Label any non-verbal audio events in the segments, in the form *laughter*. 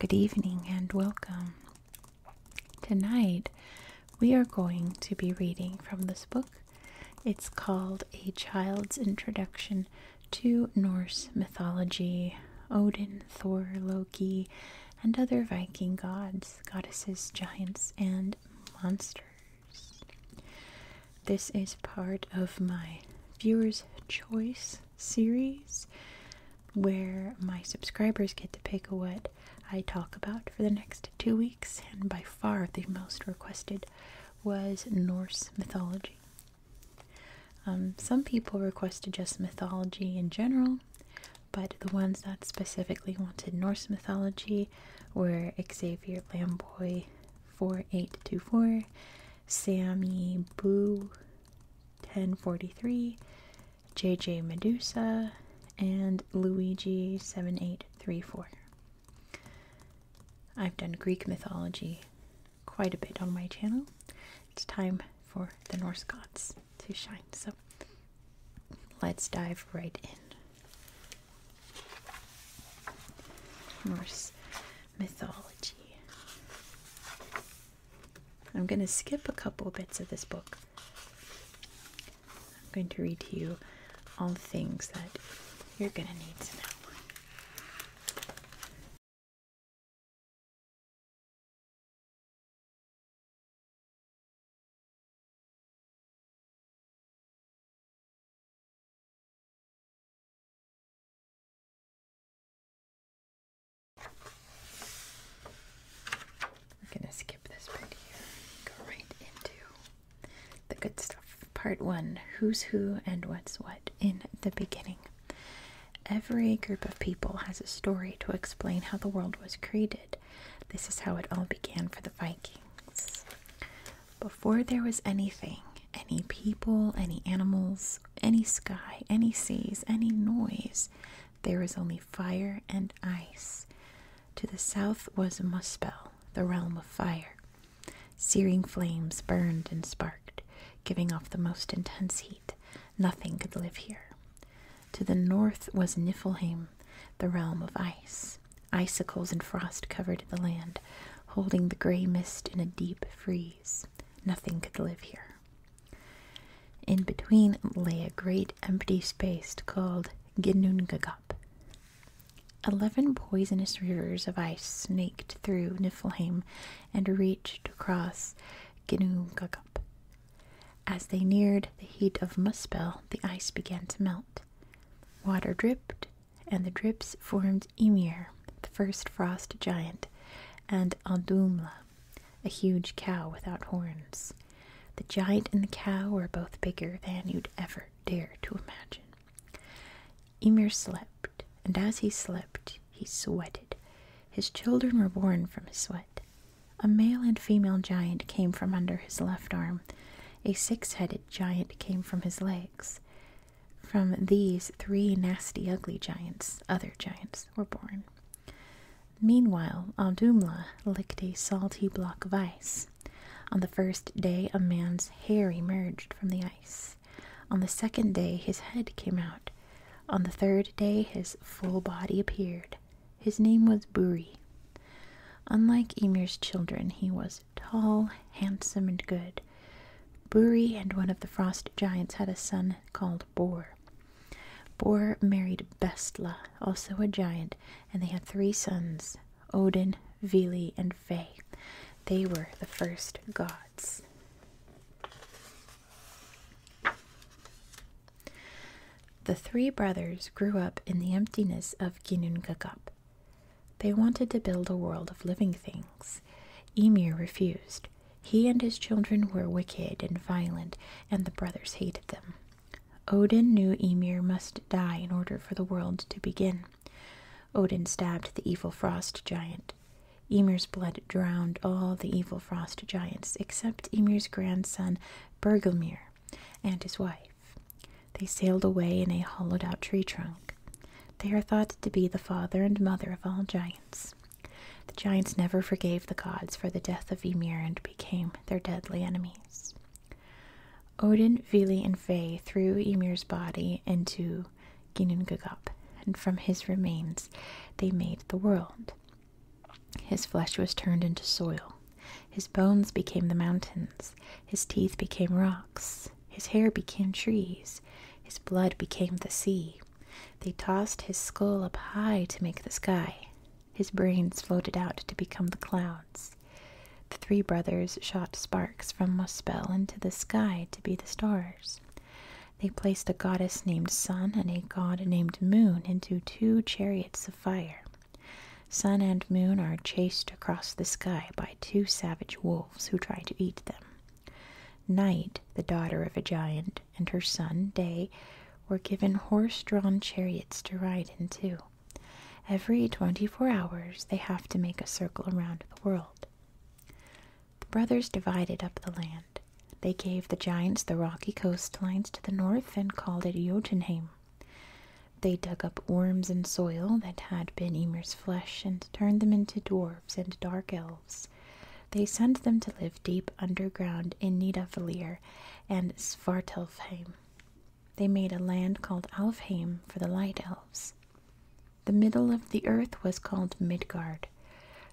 Good evening and welcome. Tonight we are going to be reading from this book. It's called A Child's Introduction to Norse mythology, Odin, Thor, Loki, and other Viking gods, goddesses, giants, and monsters. This is part of my Viewers' Choice series where my subscribers get to pick what I talk about for the next two weeks, and by far the most requested was Norse mythology. Um, some people requested just mythology in general, but the ones that specifically wanted Norse mythology were Xavier Lamboy 4824, Sammy Boo 1043, JJ Medusa, and Luigi 7834. I've done Greek mythology quite a bit on my channel. It's time for the Norse gods to shine. So let's dive right in. Norse mythology. I'm going to skip a couple bits of this book. I'm going to read to you all the things that you're going to need to know. We're gonna skip this bit here. Go right into the good stuff. Part one Who's Who and What's What in the Beginning. Every group of people has a story to explain how the world was created. This is how it all began for the Vikings. Before there was anything, any people, any animals, any sky, any seas, any noise, there was only fire and ice. To the south was Muspel, the realm of fire. Searing flames burned and sparked, giving off the most intense heat. Nothing could live here. To the north was Niflheim, the realm of ice. Icicles and frost covered the land, holding the gray mist in a deep freeze. Nothing could live here. In between lay a great empty space called Ginnungagap. Eleven poisonous rivers of ice snaked through Niflheim and reached across Ginnungagap. As they neared the heat of Muspel, the ice began to melt. Water dripped, and the drips formed Emir, the first frost giant, and Aldumla, a huge cow without horns. The giant and the cow were both bigger than you'd ever dare to imagine. Emir slept, and as he slept, he sweated. His children were born from his sweat. A male and female giant came from under his left arm. A six headed giant came from his legs. From these, three nasty, ugly giants, other giants, were born. Meanwhile, Aldumla licked a salty block of ice. On the first day, a man's hair emerged from the ice. On the second day his head came out. On the third day his full body appeared. His name was Buri. Unlike Emir's children, he was tall, handsome, and good. Buri and one of the frost giants had a son called Bor. Bor married Bestla, also a giant, and they had three sons Odin, Vili, and Ve. They were the first gods. The three brothers grew up in the emptiness of Ginnungagap. They wanted to build a world of living things. Emir refused. He and his children were wicked and violent, and the brothers hated them. Odin knew Emir must die in order for the world to begin. Odin stabbed the evil frost giant. Ymir's blood drowned all the evil frost giants except Ymir's grandson Bergelmir and his wife. They sailed away in a hollowed out tree trunk. They are thought to be the father and mother of all giants. The giants never forgave the gods for the death of Ymir and became their deadly enemies. Odin, Vili, and Frey threw Ymir's body into Ginnungagap, and from his remains they made the world. His flesh was turned into soil, his bones became the mountains, his teeth became rocks, his hair became trees, his blood became the sea. They tossed his skull up high to make the sky. His brains floated out to become the clouds. The three brothers shot sparks from Muspel into the sky to be the stars. They placed a goddess named Sun and a god named Moon into two chariots of fire. Sun and Moon are chased across the sky by two savage wolves who try to eat them. Night, the daughter of a giant, and her son, Day, were given horse drawn chariots to ride in too. Every twenty four hours they have to make a circle around the world. The brothers divided up the land. They gave the giants the rocky coastlines to the north and called it Jotunheim. They dug up worms and soil that had been Ymir's flesh and turned them into dwarfs and dark elves. They sent them to live deep underground in Nidavellir and Svartalfheim. They made a land called Alfheim for the Light Elves. The middle of the earth was called Midgard.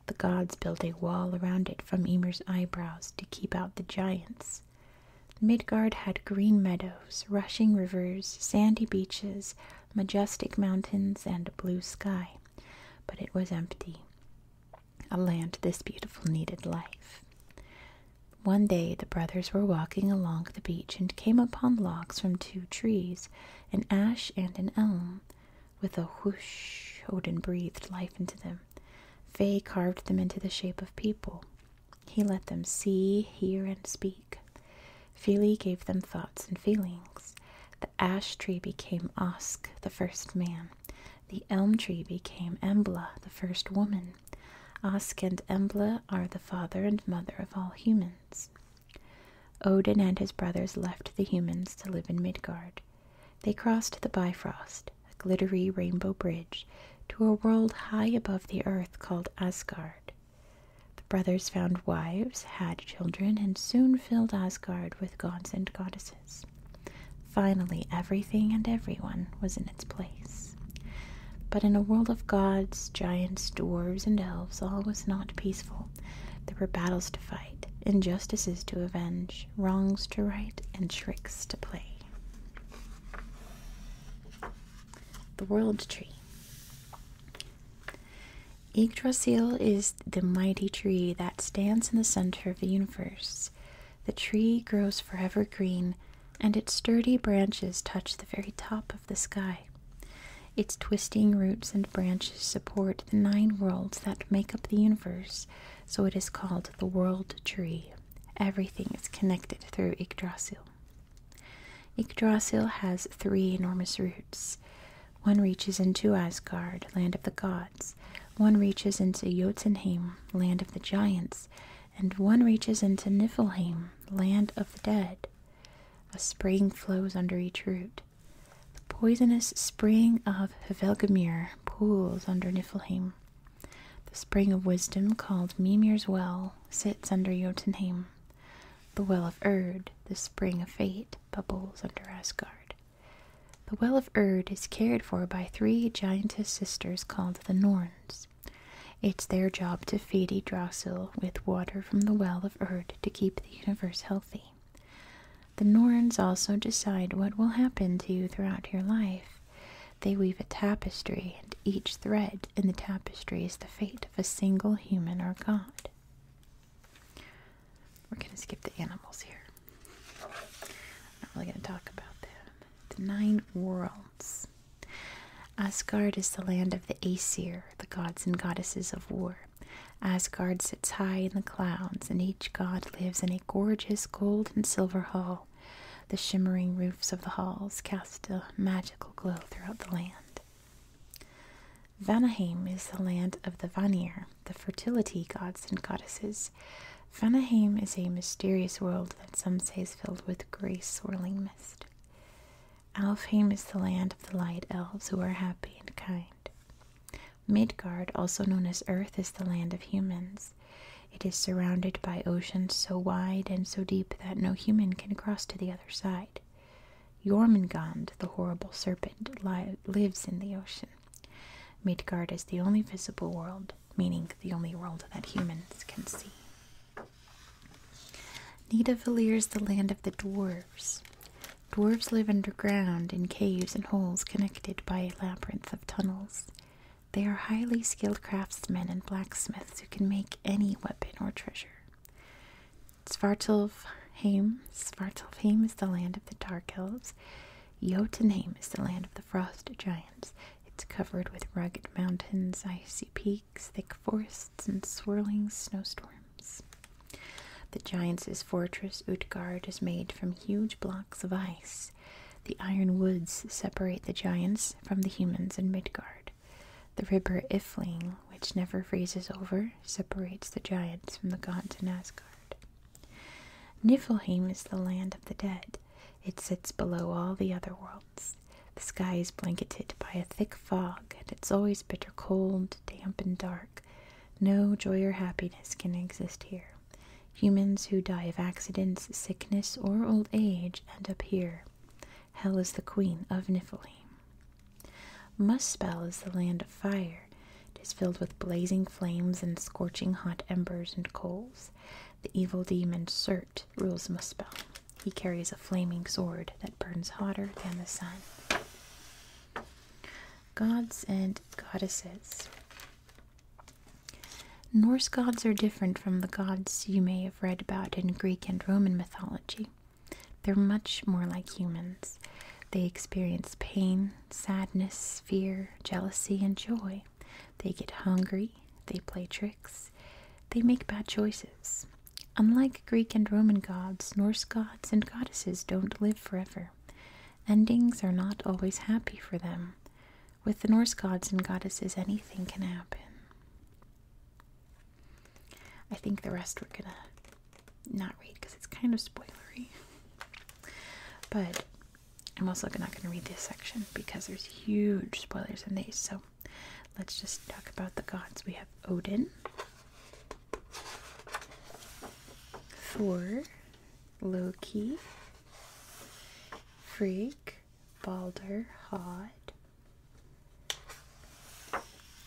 The gods built a wall around it from Ymir's eyebrows to keep out the giants. Midgard had green meadows, rushing rivers, sandy beaches, majestic mountains, and a blue sky. But it was empty. A land this beautiful needed life. One day the brothers were walking along the beach and came upon logs from two trees, an ash and an elm. With a whoosh, Odin breathed life into them. Fey carved them into the shape of people. He let them see, hear, and speak. Fili gave them thoughts and feelings. The ash tree became Osk, the first man. The elm tree became Embla, the first woman. Osk and Embla are the father and mother of all humans. Odin and his brothers left the humans to live in Midgard. They crossed the Bifrost, a glittery rainbow bridge, to a world high above the earth called Asgard. The brothers found wives, had children, and soon filled Asgard with gods and goddesses. Finally, everything and everyone was in its place. But in a world of gods, giants, dwarves, and elves, all was not peaceful. There were battles to fight, injustices to avenge, wrongs to right, and tricks to play. The World Tree. Yggdrasil is the mighty tree that stands in the center of the universe. The tree grows forever green, and its sturdy branches touch the very top of the sky. Its twisting roots and branches support the nine worlds that make up the universe, so it is called the World Tree. Everything is connected through Yggdrasil. Yggdrasil has three enormous roots. One reaches into Asgard, land of the gods, one reaches into Jotunheim, land of the giants, and one reaches into Niflheim, land of the dead. A spring flows under each root. The poisonous spring of Hvelgemir pools under Niflheim. The spring of wisdom called Mimir's Well sits under Jotunheim. The Well of Erd, the spring of fate, bubbles under Asgard. The Well of Erd is cared for by three giantess sisters called the Norns. It's their job to feed Yggdrasil with water from the Well of Erd to keep the universe healthy. The Norns also decide what will happen to you throughout your life. They weave a tapestry, and each thread in the tapestry is the fate of a single human or god. We're going to skip the animals here. I'm not really going to talk about them. The Nine Worlds. Asgard is the land of the Aesir, the gods and goddesses of war. Asgard sits high in the clouds, and each god lives in a gorgeous gold and silver hall. The shimmering roofs of the halls cast a magical glow throughout the land. Vanaheim is the land of the Vanir, the fertility gods and goddesses. Vanaheim is a mysterious world that some say is filled with gray swirling mist. Alfheim is the land of the light elves who are happy and kind. Midgard, also known as Earth, is the land of humans. It is surrounded by oceans so wide and so deep that no human can cross to the other side. Jormungand, the horrible serpent, lives in the ocean. Midgard is the only visible world, meaning the only world that humans can see. Nidavellir is the land of the dwarves. Dwarves live underground in caves and holes connected by a labyrinth of tunnels. They are highly skilled craftsmen and blacksmiths who can make any weapon or treasure. Svartalfheim, Svartalfheim is the land of the Dark Elves. Jotunheim is the land of the Frost Giants. It's covered with rugged mountains, icy peaks, thick forests, and swirling snowstorms. The giants' fortress Utgard is made from huge blocks of ice. The iron woods separate the giants from the humans in Midgard. The river Ifling, which never freezes over, separates the giants from the gods in Asgard. Niflheim is the land of the dead. It sits below all the other worlds. The sky is blanketed by a thick fog, and it's always bitter cold, damp, and dark. No joy or happiness can exist here. Humans who die of accidents, sickness, or old age end up here. Hell is the queen of Niflheim. Muspell is the land of fire. It is filled with blazing flames and scorching hot embers and coals. The evil demon Surt rules Muspell. He carries a flaming sword that burns hotter than the sun. Gods and Goddesses. Norse gods are different from the gods you may have read about in Greek and Roman mythology. They're much more like humans. They experience pain, sadness, fear, jealousy, and joy. They get hungry. They play tricks. They make bad choices. Unlike Greek and Roman gods, Norse gods and goddesses don't live forever. Endings are not always happy for them. With the Norse gods and goddesses, anything can happen. I think the rest we're gonna not read because it's kind of spoilery. But I'm also not gonna read this section because there's huge spoilers in these. So let's just talk about the gods. We have Odin, Thor, Loki, Freak, Balder, Hod.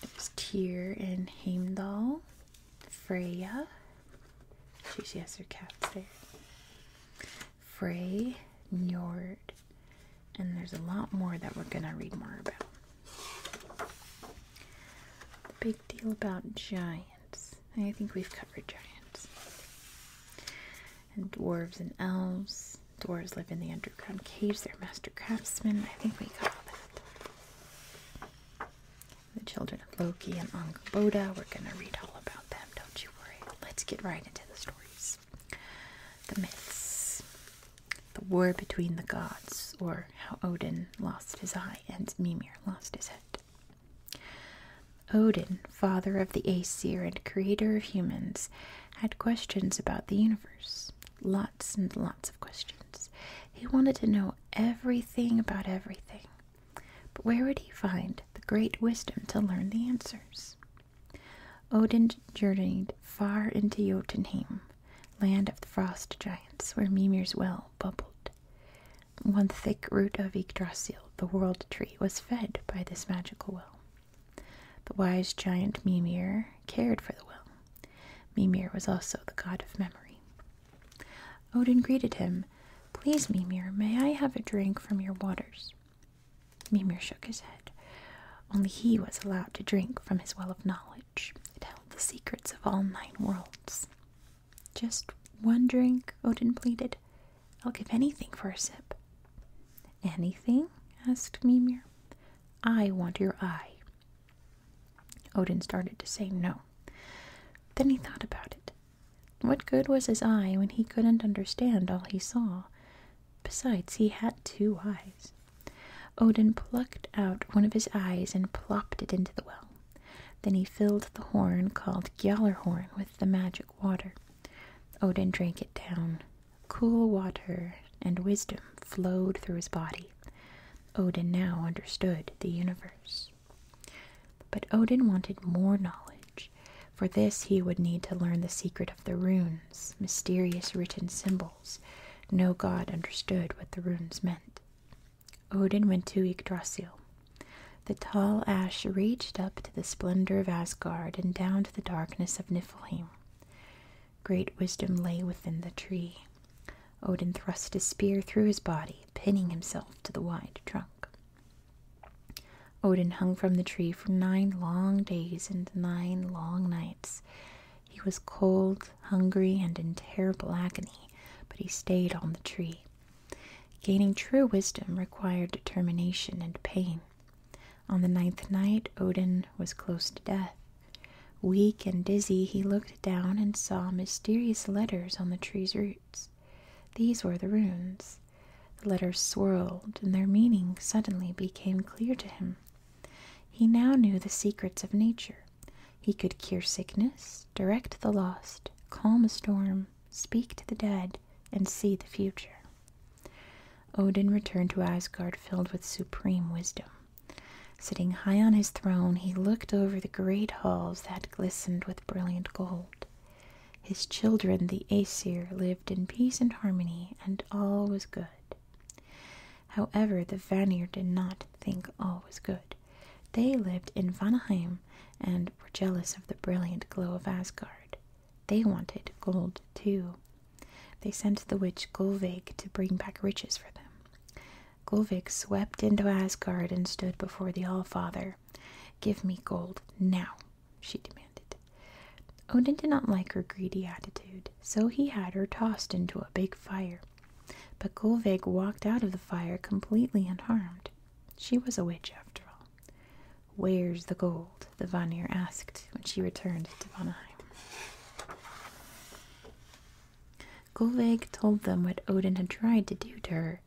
There's Tyr and Heimdall, Freya. She, has her cats there. Frey, Njord, and there's a lot more that we're gonna read more about deal about giants. I think we've covered giants. And dwarves and elves. Dwarves live in the underground caves. They're master craftsmen. I think we got that. The children of Loki and Angaboda. We're going to read all about them. Don't you worry. Let's get right into the stories. The myths. The war between the gods, or how Odin lost his eye and Mimir lost his head. Odin, father of the Aesir and creator of humans, had questions about the universe. Lots and lots of questions. He wanted to know everything about everything. But where would he find the great wisdom to learn the answers? Odin journeyed far into Jotunheim, land of the frost giants, where Mimir's well bubbled. One thick root of Yggdrasil, the world tree, was fed by this magical well. The wise giant Mimir cared for the well. Mimir was also the god of memory. Odin greeted him. Please, Mimir, may I have a drink from your waters? Mimir shook his head. Only he was allowed to drink from his well of knowledge. It held the secrets of all nine worlds. Just one drink, Odin pleaded. I'll give anything for a sip. Anything? asked Mimir. I want your eye. Odin started to say no. Then he thought about it. What good was his eye when he couldn't understand all he saw? Besides, he had two eyes. Odin plucked out one of his eyes and plopped it into the well. Then he filled the horn called Gjallarhorn with the magic water. Odin drank it down. Cool water and wisdom flowed through his body. Odin now understood the universe. But Odin wanted more knowledge. For this, he would need to learn the secret of the runes, mysterious written symbols. No god understood what the runes meant. Odin went to Yggdrasil. The tall ash reached up to the splendor of Asgard and down to the darkness of Niflheim. Great wisdom lay within the tree. Odin thrust his spear through his body, pinning himself to the wide trunk. Odin hung from the tree for nine long days and nine long nights. He was cold, hungry, and in terrible agony but he stayed on the tree. Gaining true wisdom required determination and pain. On the ninth night, Odin was close to death. Weak and dizzy, he looked down and saw mysterious letters on the tree's roots. These were the runes. The letters swirled, and their meaning suddenly became clear to him. He now knew the secrets of nature. He could cure sickness, direct the lost, calm a storm, speak to the dead, and see the future. Odin returned to Asgard filled with supreme wisdom. Sitting high on his throne, he looked over the great halls that glistened with brilliant gold. His children, the Aesir, lived in peace and harmony, and all was good. However, the Vanir did not think all was good. They lived in Vanaheim and were jealous of the brilliant glow of Asgard. They wanted gold too. They sent the witch Gulveig to bring back riches for them. Gulveig swept into Asgard and stood before the All Father. Give me gold now, she demanded. Odin did not like her greedy attitude, so he had her tossed into a big fire but Gulveig walked out of the fire completely unharmed. She was a witch after all. Where's the gold? the Vanir asked when she returned to Vanaheim. Gulveig told them what Odin had tried to do to her.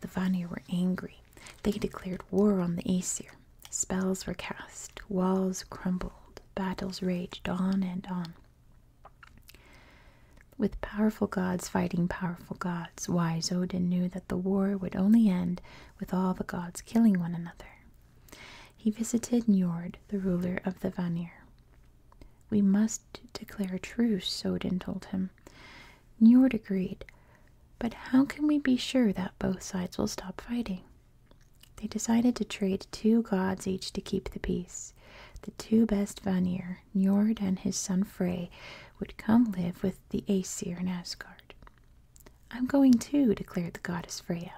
The Vanir were angry. They declared war on the Aesir. Spells were cast, walls crumbled, battles raged on and on. With powerful gods fighting powerful gods, wise Odin knew that the war would only end with all the gods killing one another. He visited Njord, the ruler of the Vanir. We must declare a truce, Odin told him. Njord agreed, but how can we be sure that both sides will stop fighting? They decided to trade two gods each to keep the peace. The two best Vanir Ragnar, Njord and his son Frey would come live with the Aesir in Asgard. I'm going too, declared the goddess Freya.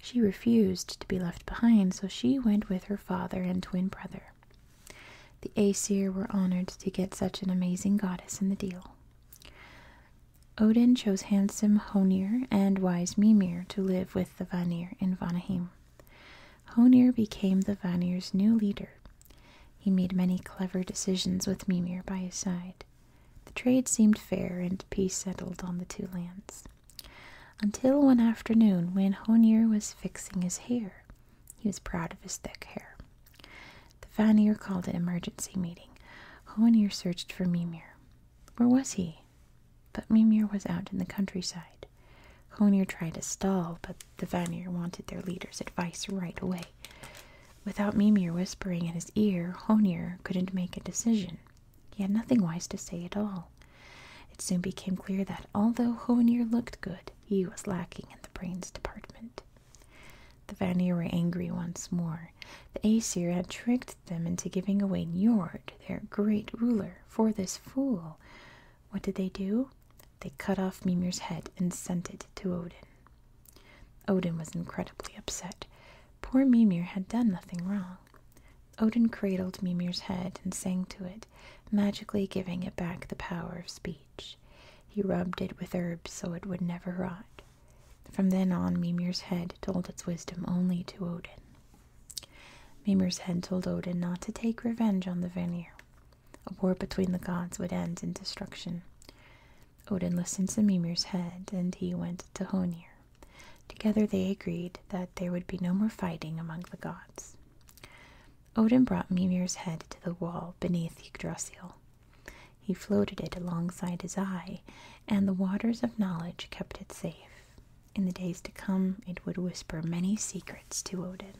She refused to be left behind, so she went with her father and twin brother. The Aesir were honored to get such an amazing goddess in the deal. Odin chose handsome Honir and wise Mimir to live with the Vanir in Vanaheim. Honir became the Vanir's new leader. He made many clever decisions with Mimir by his side. The trade seemed fair and peace settled on the two lands. Until one afternoon when Honir was fixing his hair. He was proud of his thick hair. The Vanir called an emergency meeting. Honir searched for Mimir. Where was he? But Mimir was out in the countryside. Honir tried to stall, but the Vanir wanted their leader's advice right away. Without Mimir whispering in his ear, Honir couldn't make a decision. He had nothing wise to say at all. It soon became clear that although Honir looked good, he was lacking in the brains department. The Vanir were angry once more. The Aesir had tricked them into giving away Niord, their great ruler, for this fool. What did they do? They cut off Mimir's head and sent it to Odin. Odin was incredibly upset. Poor Mimir had done nothing wrong. Odin cradled Mimir's head and sang to it, magically giving it back the power of speech. He rubbed it with herbs so it would never rot. From then on, Mimir's head told its wisdom only to Odin. Mimir's head told Odin not to take revenge on the Vanir. A war between the gods would end in destruction. Odin listened to Mimir's head, and he went to Honir. Together they agreed that there would be no more fighting among the gods. Odin brought Mimir's head to the wall beneath Yggdrasil. He floated it alongside his eye, and the waters of knowledge kept it safe. In the days to come, it would whisper many secrets to Odin.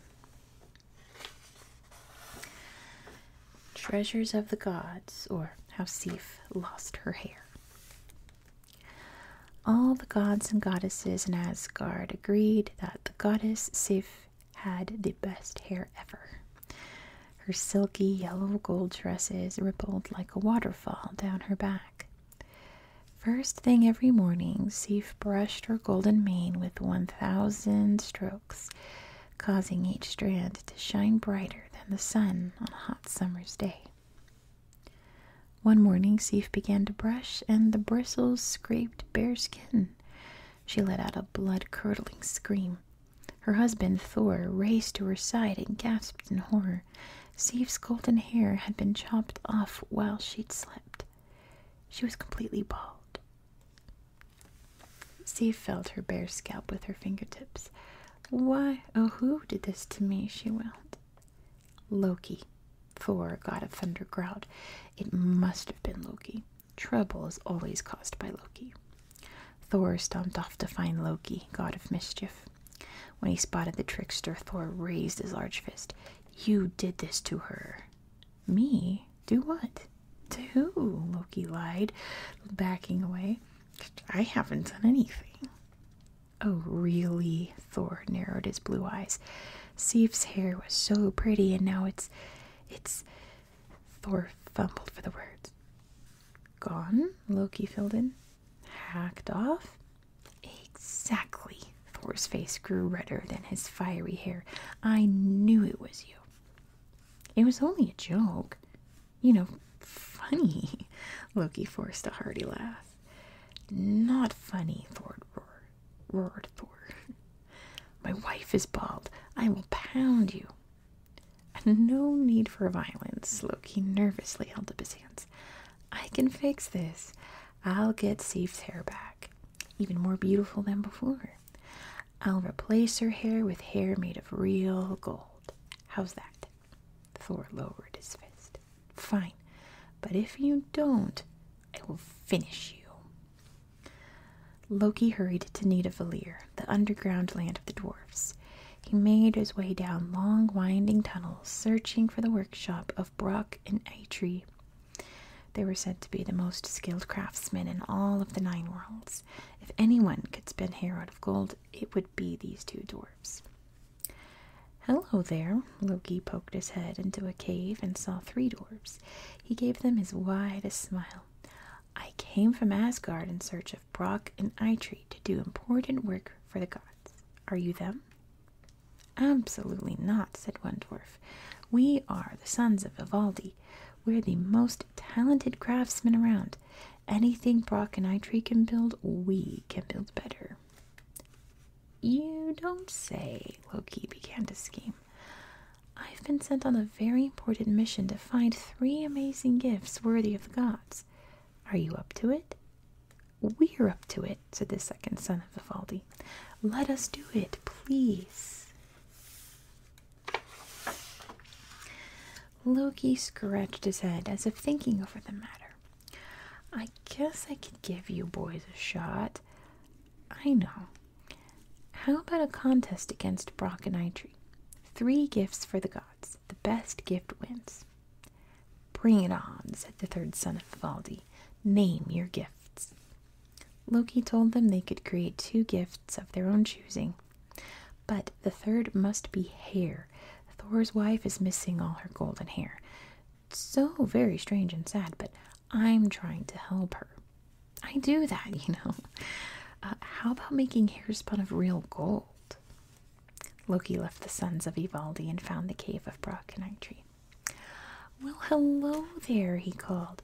Treasures of the Gods, or How Sif Lost Her Hair. All the gods and goddesses in Asgard agreed that the goddess Sif had the best hair ever. Her silky yellow gold dresses rippled like a waterfall down her back. First thing every morning, Sif brushed her golden mane with 1,000 strokes, causing each strand to shine brighter than the sun on a hot summer's day. One morning, Sif began to brush, and the bristles scraped bare skin. She let out a blood curdling scream. Her husband, Thor, raced to her side and gasped in horror. Sif's golden hair had been chopped off while she'd slept. She was completely bald. Steve felt her bare scalp with her fingertips. Why, oh, who did this to me? she wailed. Loki, Thor, god of thunder, growled. It must have been Loki. Trouble is always caused by Loki. Thor stomped off to find Loki, god of mischief. When he spotted the trickster, Thor raised his large fist. You did this to her. Me? Do what? To who? Loki lied, backing away. I haven't done anything. Oh, really? Thor narrowed his blue eyes. Sif's hair was so pretty, and now it's. it's. Thor fumbled for the words. Gone? Loki filled in. Hacked off? Exactly. Thor's face grew redder than his fiery hair. I knew it was you. It was only a joke. You know, funny. *laughs* Loki forced a hearty laugh. Not funny, Thor roared. Roared Thor. *laughs* My wife is bald. I will pound you. And *laughs* No need for violence. Loki nervously held up his hands. I can fix this. I'll get Steve's hair back, even more beautiful than before. I'll replace her hair with hair made of real gold. How's that? Thor lowered his fist. Fine, but if you don't, I will finish you. Loki hurried to Nidavellir, the underground land of the dwarfs. He made his way down long, winding tunnels, searching for the workshop of of Bruck and Eitri. They were said to be the most skilled craftsmen in all of the nine worlds. If anyone could spin hair out of gold, it would be these two dwarfs. Hello there, Loki poked his head into a cave and saw three dwarfs. He gave them his widest smile. I came from Asgard in search of Brock and Eitri to do important work for the gods. Are you them? Absolutely not, said one dwarf. We are the sons of Vivaldi. We're the most talented craftsmen around. Anything Brock and Itree can build, we can build better. You don't say, Loki began to scheme. I've been sent on a very important mission to find three amazing gifts worthy of the gods. Are you up to it? We're up to it, said the second son of Vivaldi. Let us do it, please. Loki scratched his head as if thinking over the matter. I guess I could give you boys a shot. I know. How about a contest against Brock and Eitri? Three gifts for the gods. The best gift wins. Bring it on, said the third son of Valdi. Name your gifts. Loki told them they could create two gifts of their own choosing, but the third must be hair. Thor's wife is missing all her golden hair. So very strange and sad, but I'm trying to help her. I do that, *laughs* you know. Uh, how about making hair spun of real gold? Loki left the sons of Ivaldi and found the cave of Brock well, hello there, he called.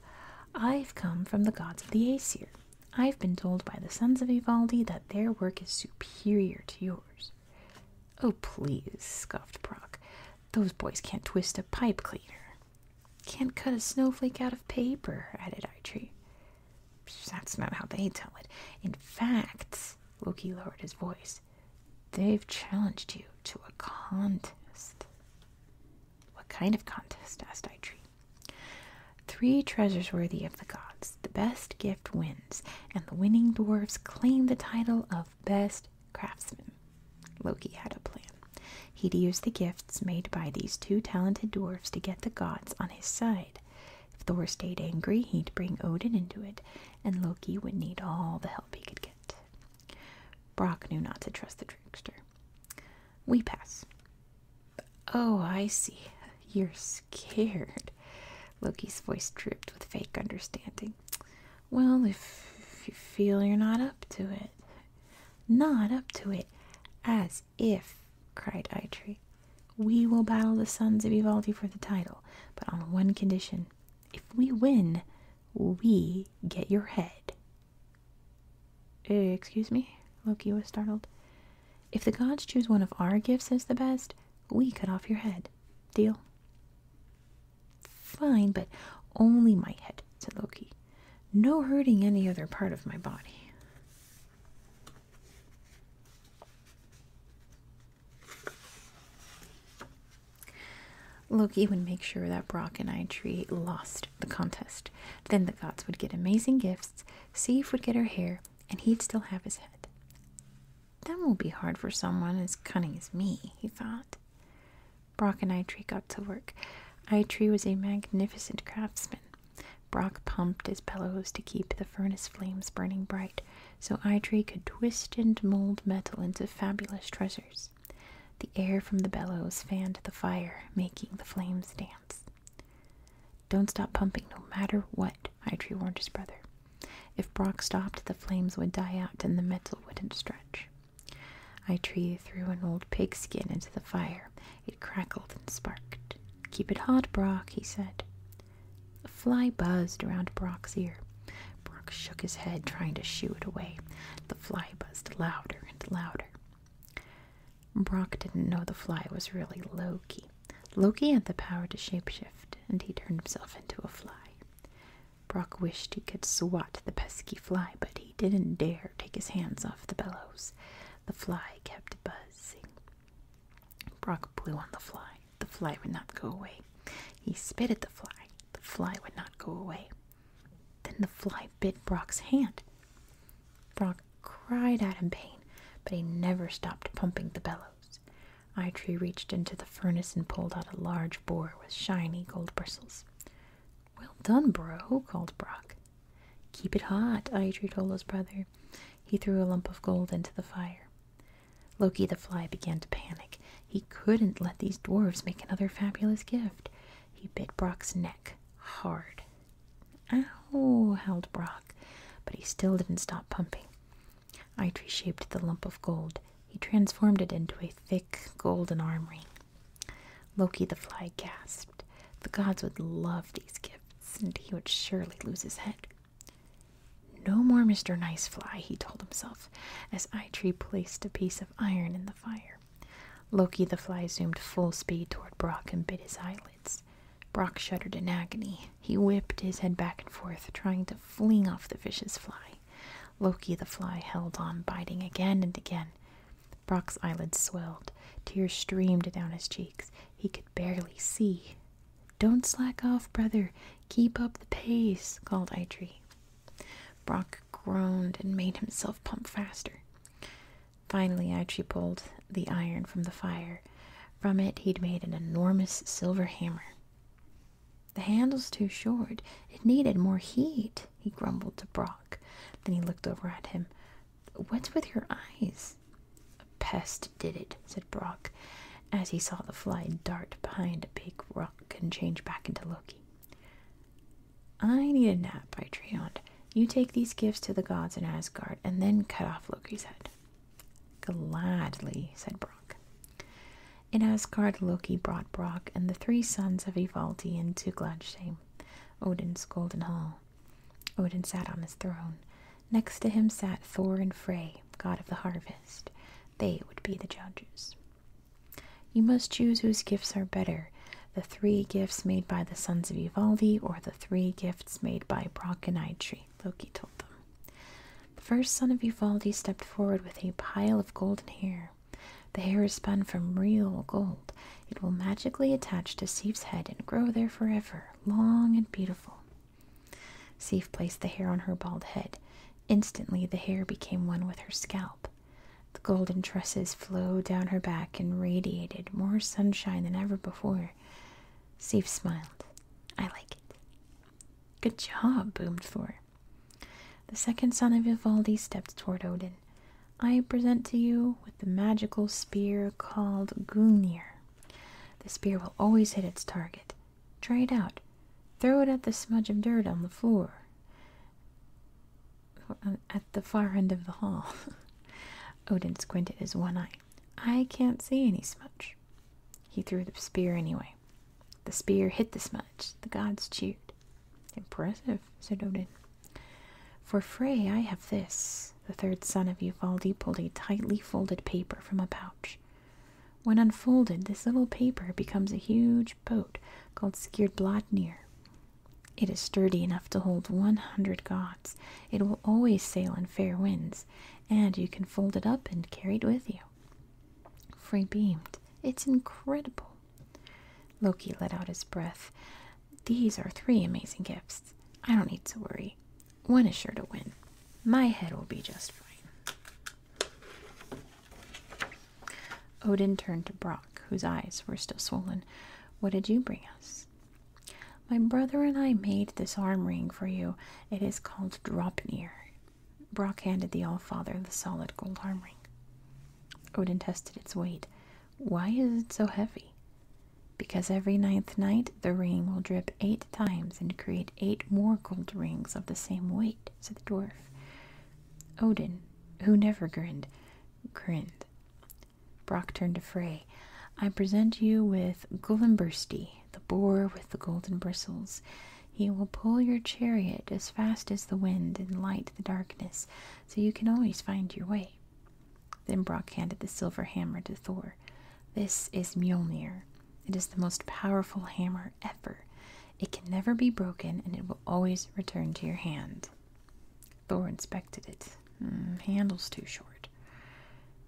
I've come from the gods of the Aesir. I've been told by the sons of Ivaldi that their work is superior to yours. Oh, please, scoffed Brock. Those boys can't twist a pipe cleaner. Can't cut a snowflake out of paper, added Aitree. That's not how they tell it. In fact, Loki lowered his voice, they've challenged you to a contest. What kind of contest? asked Eitri. Three treasures worthy of the gods. The best gift wins, and the winning dwarves claim the title of best craftsman. Loki had a plan. He'd use the gifts made by these two talented dwarves to get the gods on his side. If Thor stayed angry, he'd bring Odin into it, and Loki would need all the help he could get. Brock knew not to trust the trickster. We pass. Oh, I see. You're scared. Loki's voice dripped with fake understanding. Well, if, you feel you're not up to it. Not up to it. As if, cried Eitri. We will battle the sons of Ivaldi for the title, but on one condition. If we win, we get your head. Eh, excuse me? Loki was startled. If the gods choose one of our gifts as the best, we cut off your head. Deal? Fine, but only my head, said Loki. No hurting any other part of my body. Loki would make sure that Brock and Aitree lost the contest. Then the gods would get amazing gifts, Sif would get her hair, and he'd still have his head. That won't be hard for someone as cunning as me, he thought. Brock and Aitree got to work. Aitree was a magnificent craftsman. Brock pumped his bellows to keep the furnace flames burning bright, so Aitree could twist and mold metal into fabulous treasures. The air from the bellows fanned the fire, making the flames dance. Don't stop pumping, no matter what, Eitri warned his brother. If Brock stopped, the flames would die out and the metal wouldn't stretch. Eitri threw an old pigskin into the fire. It crackled and sparked. Keep it hot, Brock, he said. A fly buzzed around Brock's ear. Brock shook his head, trying to shoo it away the fly buzzed louder and louder. Brock didn't know the fly was really Loki. Loki had the power to shapeshift, and he turned himself into a fly. Brock wished he could swat the pesky fly, but he didn't dare take his hands off the bellows. The fly kept buzzing. Brock blew on the fly. The fly would not go away. He spit at the fly. The fly would not go away. Then the fly bit Brock's hand. Brock cried out in pain, but he never stopped pumping the bellows. Eye Tree reached into the furnace and pulled out a large boar with shiny gold bristles. Well done, bro, called Brock. Keep it hot, Eye Tree told his brother. He threw a lump of gold into the fire. Loki the fly began to panic. He couldn't let these dwarves make another fabulous gift. He bit Brock's neck hard. Ow, howled Brock, but he still didn't stop pumping. Eitri shaped the lump of gold. He transformed it into a thick golden arm ring. Loki the fly gasped. The gods would love these gifts, and he would surely lose his head. No more Mr. Nice Fly, he told himself, as Eitri placed a piece of iron in the fire. Loki the fly zoomed full speed toward Brock and bit his eyelids. Brock shuddered in agony. He whipped his head back and forth, trying to fling off the vicious fly. Loki the fly held on, biting again and again. Brock's eyelids swelled. Tears streamed down his cheeks. He could barely see. Don't slack off, brother. Keep up the pace, called Eitri. Brock groaned and made himself pump faster. Finally, Archie pulled the iron from the fire. From it, he'd made an enormous silver hammer. The handle's too short. It needed more heat, he grumbled to Brock. Then he looked over at him. What's with your eyes? A pest did it, said Brock, as he saw the fly dart behind a big rock and change back into Loki. I need a nap, I Treoned. You take these gifts to the gods in Asgard and then cut off Loki's head. Gladly, said Brock. In Asgard, Loki brought Brock and the three sons of Ivaldi into Gladsheim, Odin's golden hall. Odin sat on his throne. Next to him sat Thor and Frey, god of the harvest. They would be the judges. You must choose whose gifts are better the three gifts made by the sons of Uvaldi or the three gifts made by Brock and Aitri, Loki told them. The first son of Uvaldi stepped forward with a pile of golden hair. The hair is spun from real gold. It will magically attach to Sif's head and grow there forever, long and beautiful. Sif placed the hair on her bald head. Instantly, the hair became one with her scalp. The golden tresses flowed down her back and radiated more sunshine than ever before. Sif smiled. I like it. Good job, boomed Thor. The second son of Ivaldi stepped toward Odin. I present to you with the magical spear called Gungnir. The spear will always hit its target. Try it out. Throw it at the smudge of dirt on the floor at the far end of the hall. *laughs* Odin squinted his one eye. I can't see any smudge. He threw the spear anyway. The spear hit the smudge. The gods cheered. Impressive, said Odin. For Frey, I have this. The third son of Uvaldi pulled a tightly folded paper from a pouch. When unfolded, this little paper becomes a huge boat called Skirblotnir. It is sturdy enough to hold 100 gods. It will always sail in fair winds, and you can fold it up and carry it with you. Frey beamed. It's incredible. Loki let out his breath. These are three amazing gifts. I don't need to worry. One is sure to win. My head will be just fine. Odin turned to Brock, whose eyes were still swollen. What did you bring us? My brother and I made this arm ring for you. It is called Dropnir. Brock handed the Allfather the solid gold arm ring. Odin tested its weight. Why is it so heavy? Because every ninth night the ring will drip eight times and create eight more gold rings of the same weight, said the dwarf. Odin, who never grinned, grinned. Brock turned to Frey. I present you with Gullimbursty, the boar with the golden bristles. He will pull your chariot as fast as the wind and light the darkness, so you can always find your way. Then Brock handed the silver hammer to Thor. This is Mjolnir. It is the most powerful hammer ever. It can never be broken and it will always return to your hand. Thor inspected it. Mm, handle's too short.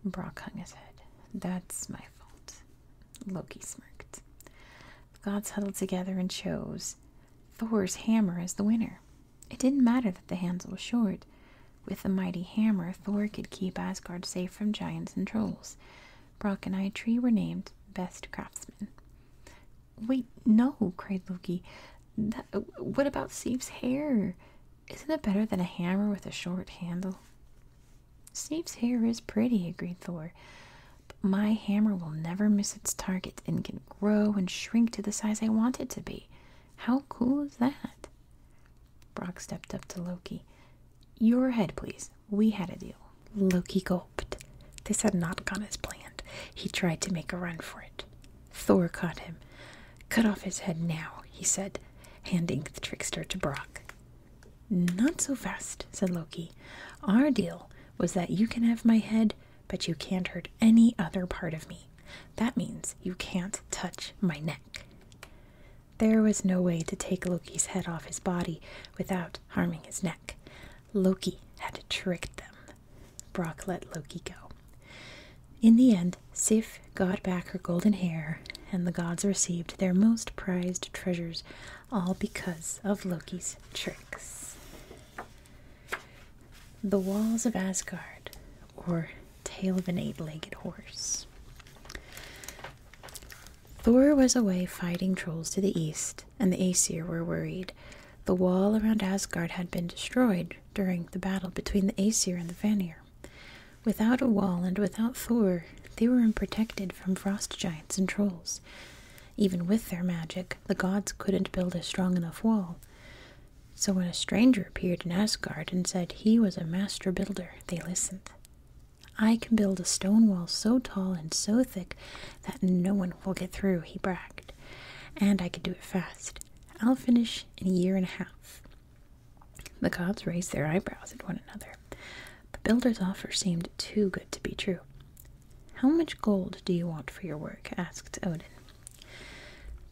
Brock hung his head. That's my fault. Loki smirked. The gods huddled together and chose Thor's hammer as the winner. It didn't matter that the handle was short. With the mighty hammer, Thor could keep Asgard safe from giants and trolls. Brock and I tree were named best craftsmen. Wait, no, cried Loki. what about Steve's hair? Isn't it better than a hammer with a short handle? Steve's hair is pretty, agreed Thor. But my hammer will never miss its target and can grow and shrink to the size I want it to be. How cool is that? Brock stepped up to Loki. Your head, please. We had a deal. Loki, go this had not gone as planned. He tried to make a run for it. Thor caught him. Cut off his head now, he said, handing the trickster to Brock. Not so fast, said Loki. Our deal was that you can have my head, but you can't hurt any other part of me. That means you can't touch my neck. There was no way to take Loki's head off his body without harming his neck. Loki had tricked them. Brock let Loki go. In the end, Sif got back her golden hair, and the gods received their most prized treasures, all because of Loki's tricks. The Walls of Asgard, or Tale of an Eight Legged Horse. Thor was away fighting trolls to the east, and the Aesir were worried. The wall around Asgard had been destroyed during the battle between the Aesir and the Vanir. Without a wall and without Thor, they were unprotected from frost giants and trolls. Even with their magic, the gods couldn't build a strong enough wall. So when a stranger appeared in Asgard and said he was a master builder, they listened. I can build a stone wall so tall and so thick that no one will get through, he bragged. And I could do it fast. I'll finish in a year and a half. The cops raised their eyebrows at one another. The builder's offer seemed too good to be true. How much gold do you want for your work? asked Odin.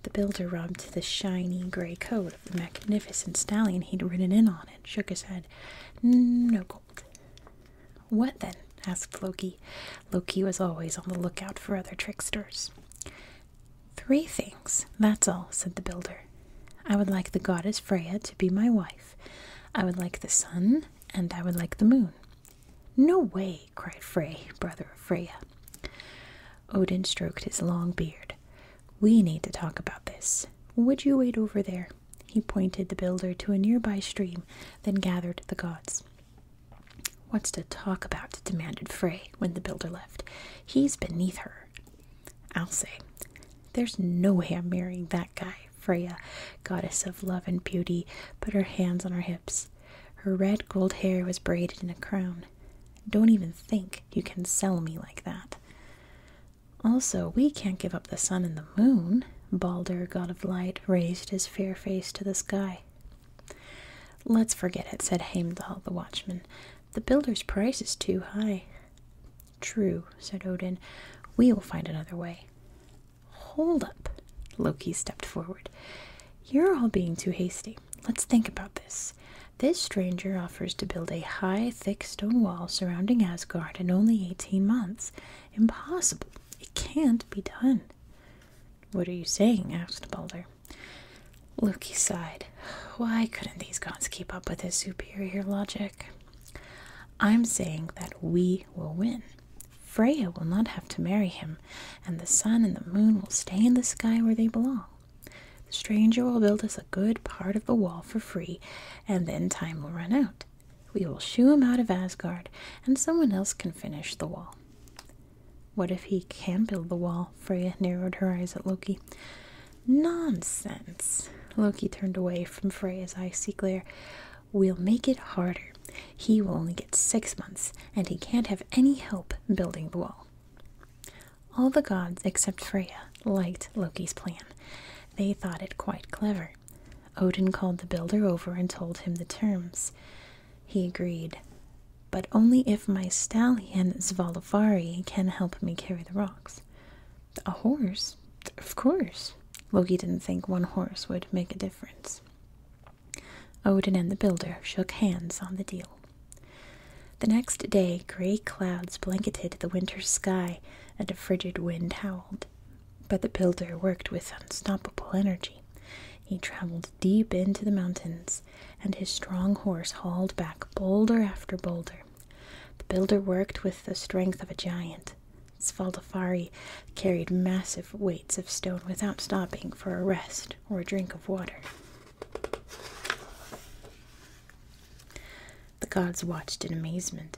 The builder rubbed the shiny gray coat of the magnificent stallion he'd ridden in on and shook his head. No gold. What then? asked Loki. Loki was always on the lookout for other tricksters. Three things, that's all, said the builder. I would like the goddess Freya to be my wife. I would like the sun, and I would like the moon. No way, cried Frey, brother of Freya. Odin stroked his long beard. We need to talk about this. Would you wait over there? He pointed the builder to a nearby stream, then gathered the gods. What's to talk about? demanded Frey when the builder left. He's beneath her. I'll say, There's no way I'm marrying that guy, Freya, goddess of love and beauty, put her hands on her hips. Her red gold hair was braided in a crown. Don't even think you can sell me like that. Also, we can't give up the sun and the moon. Balder, god of light, raised his fair face to the sky. Let's forget it, said Heimdall the watchman. The builder's price is too high. True, said Odin. We will find another way. Hold up, Loki stepped forward. You're all being too hasty. Let's think about this. This stranger offers to build a high, thick stone wall surrounding Asgard in only 18 months. Impossible. It can't be done. What are you saying? asked Balder. Loki sighed. Why couldn't these gods keep up with his superior logic? I'm saying that we will win. Freya will not have to marry him, and the sun and the moon will stay in the sky where they belong. The stranger will build us a good part of the wall for free, and then time will run out. We will shoo him out of Asgard, and someone else can finish the wall. What if he can build the wall? Freya narrowed her eyes at Loki. Nonsense! Loki turned away from Freya's icy glare. We'll make it harder. He will only get six months, and he can't have any help building the wall. All the gods except Freyja liked Loki's plan. They thought it quite clever. Odin called the builder over and told him the terms. He agreed, but only if my stallion Zvalavari can help me carry the rocks. A horse? Of course. Loki didn't think one horse would make a difference. Odin and the builder shook hands on the deal. The next day, gray clouds blanketed the winter sky and a frigid wind howled. But the builder worked with unstoppable energy. He traveled deep into the mountains, and his strong horse hauled back boulder after boulder. The builder worked with the strength of a giant. Svaldafari carried massive weights of stone without stopping for a rest or a drink of water. The gods watched in amazement.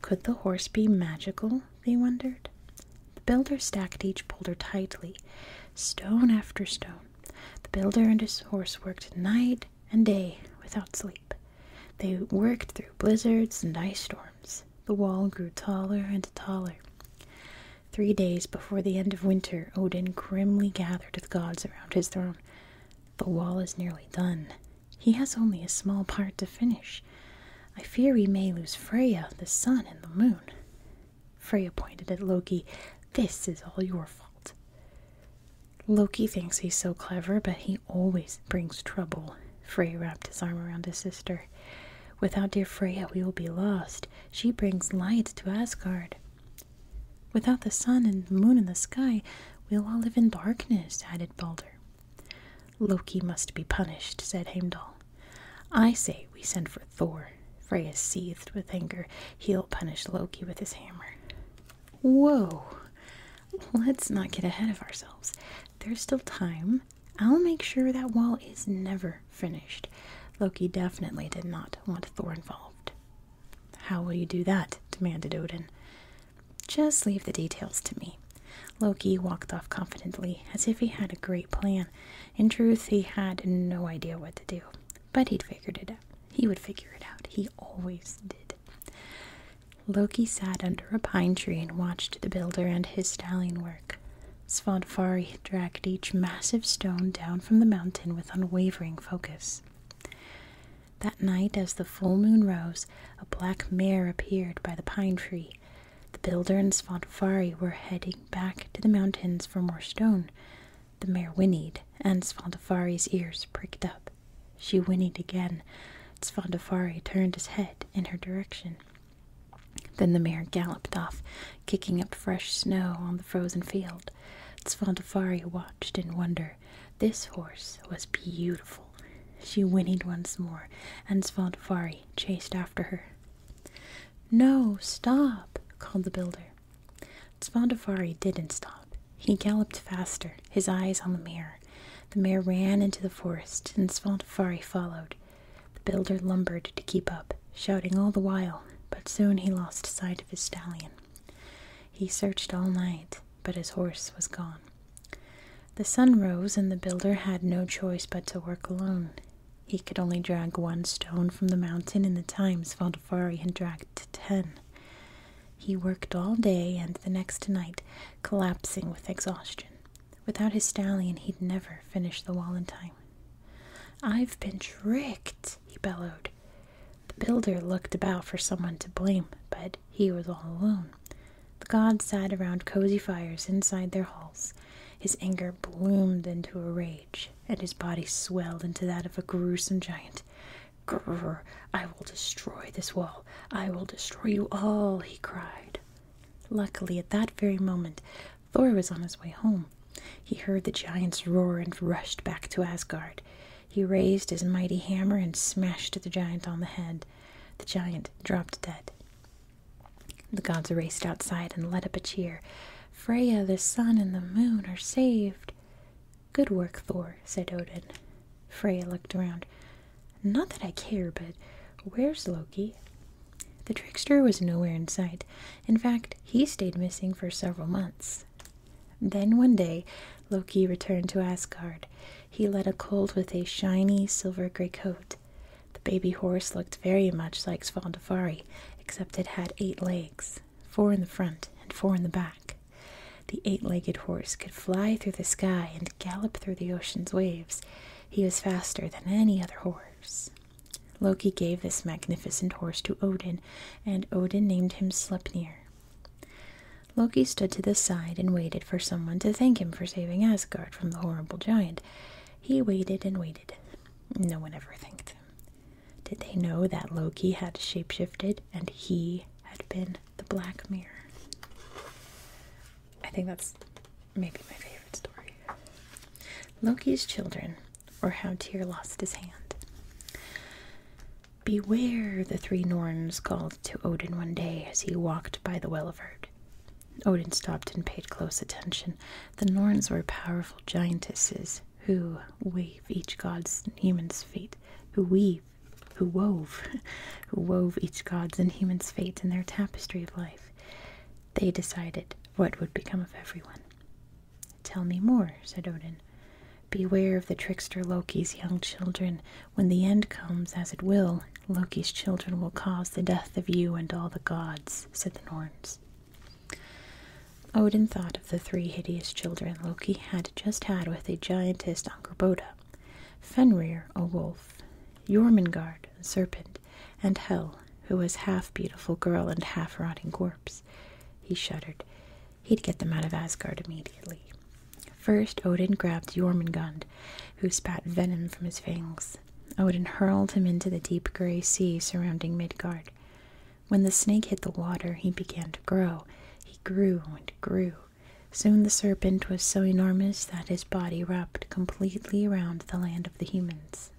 Could the horse be magical they wondered. The builder stacked each boulder tightly, stone after stone. The builder and his horse worked night and day without sleep. They worked through blizzards and ice storms. The wall grew taller and taller. Three days before the end of winter, Odin grimly gathered the gods around his throne. The wall is nearly done. He has only a small part to finish. I fear we may lose Freya, the sun, and the moon. Freya pointed at Loki. This is all your fault. Loki thinks he's so clever, but he always brings trouble. Freya wrapped his arm around his sister. Without dear Freya, we will be lost. She brings light to Asgard. Without the sun and moon and the sky, we'll all live in darkness, added Balder. Loki must be punished, said Heimdall. I say we send for Thor. Freya seethed with anger. He'll punish Loki with his hammer. Whoa! Let's not get ahead of ourselves. There's still time. I'll make sure that wall is never finished. Loki definitely did not want Thor involved. How will you do that? demanded Odin. Just leave the details to me. Loki walked off confidently, as if he had a great plan, in truth, he had no idea what to do, but he'd figured it out. He would figure it out. He always did. Loki sat under a pine tree and watched the builder and his stallion work. Svadfari dragged each massive stone down from the mountain with unwavering focus. That night, as the full moon rose, a black mare appeared by the pine tree, the builder and Svadilfari were heading back to the mountains for more stone. The mare whinnied, and Svadilfari's ears pricked up. She whinnied again. Svadilfari turned his head in her direction. Then the mare galloped off, kicking up fresh snow on the frozen field. Svadilfari watched in wonder. This horse was beautiful. She whinnied once more, and Svadilfari chased after her. No, stop, called the builder. Tzvandafari didn't stop. He galloped faster, his eyes on the mare. The mare ran into the forest, and Svantafari followed. The builder lumbered to keep up, shouting all the while, but soon he lost sight of his stallion. He searched all night, but his horse was gone. The sun rose, and the builder had no choice but to work alone. He could only drag one stone from the mountain in the times Valdefari had dragged ten. He worked all day and the next night, collapsing with exhaustion. Without his stallion, he'd never finish the wall in time. I've been tricked, he bellowed. The builder looked about for someone to blame, but he was all alone. The gods sat around cozy fires inside their halls, his anger bloomed into a rage, and his body swelled into that of a gruesome giant. Grrr, I will destroy this wall. I will destroy you all, he cried. Luckily, at that very moment, Thor was on his way home. He heard the giant's roar and rushed back to Asgard. He raised his mighty hammer and smashed the giant on the head. The giant dropped dead. The gods raced outside and let up a cheer. Freya, the sun, and the moon are saved. Good work, Thor, said Odin. Freya looked around. Not that I care, but where's Loki? The trickster was nowhere in sight. In fact, he stayed missing for several months. Then one day, Loki returned to Asgard. He led a colt with a shiny silver gray coat. The baby horse looked very much like Svaldafari, except it had eight legs, four in the front and four in the back. The eight legged horse could fly through the sky and gallop through the ocean's waves. He was faster than any other horse. Loki gave this magnificent horse to Odin, and Odin named him Sleipnir. Loki stood to the side and waited for someone to thank him for saving Asgard from the horrible giant. He waited and waited. No one ever thanked them. Did they know that Loki had shapeshifted and he had been the Black Mirror? I think that's maybe my favorite story. Loki's Children, or How Tyr Lost His Hand. Beware, the three Norns called to Odin one day as he walked by the Well of Erd. Odin stopped and paid close attention. The Norns were powerful giantesses who weave each god's and human's fate, who weave, who wove, *laughs* who wove each god's and human's fate in their tapestry of life. They decided what would become of everyone. Tell me more, said Odin. Beware of the trickster Loki's young children. When the end comes, as it will, Loki's children will cause the death of you and all the gods, said the Norns. Odin thought of the three hideous children Loki had just had with a giantess Angerboda, Fenrir, a wolf, Jormungand, a serpent, and Hel, who was half beautiful girl and half rotting corpse. He shuddered. He'd get them out of Asgard immediately. First, Odin grabbed Jormungand, who spat venom from his fangs. Odin hurled him into the deep gray sea surrounding Midgard. When the snake hit the water, he began to grow. He grew and grew. Soon the serpent was so enormous that his body wrapped completely around the land of the humans.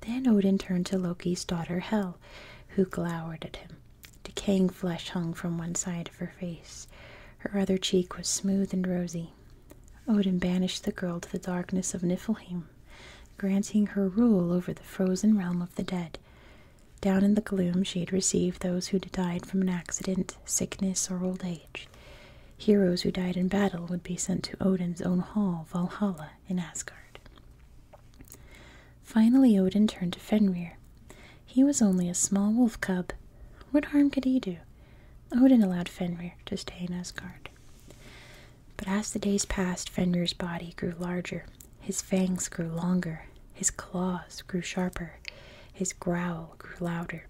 Then Odin turned to Loki's daughter Hel, who glowered at him. Decaying flesh hung from one side of her face. Her other cheek was smooth and rosy. Odin banished the girl to the darkness of Niflheim granting her rule over the frozen realm of the dead. Down in the gloom, she had received those who died from an accident, sickness, or old age. Heroes who died in battle would be sent to Odin's own hall, Valhalla, in Asgard. Finally, Odin turned to Fenrir. He was only a small wolf cub. What harm could he do? Odin allowed Fenrir to stay in Asgard. But as the days passed, Fenrir's body grew larger, his fangs grew longer, his claws grew sharper, his growl grew louder,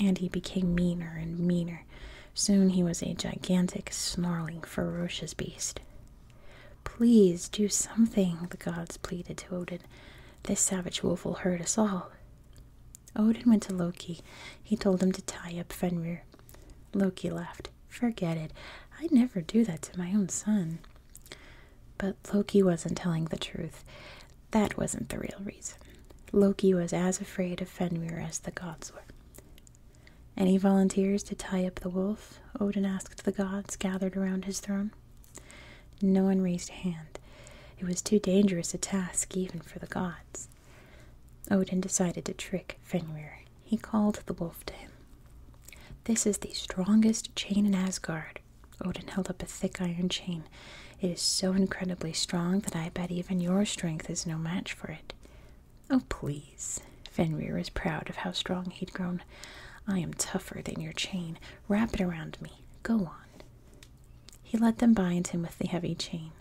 and he became meaner and meaner. Soon he was a gigantic, snarling, ferocious beast. Please do something, the gods pleaded to Odin. This savage wolf will hurt us all. Odin went to Loki. He told him to tie up Fenrir. Loki laughed. Forget it. I'd never do that to my own son. But Loki wasn't telling the truth. That wasn't the real reason. Loki was as afraid of Fenrir as the gods were. Any volunteers to tie up the wolf? Odin asked the gods gathered around his throne. No one raised a hand. It was too dangerous a task even for the gods. Odin decided to trick Fenrir. He called the wolf to him. This is the strongest chain in Asgard. Odin held up a thick iron chain. It is so incredibly strong that I bet even your strength is no match for it. Oh, please. Fenrir was proud of how strong he'd grown. I am tougher than your chain. Wrap it around me. Go on. He let them bind him with the heavy chain.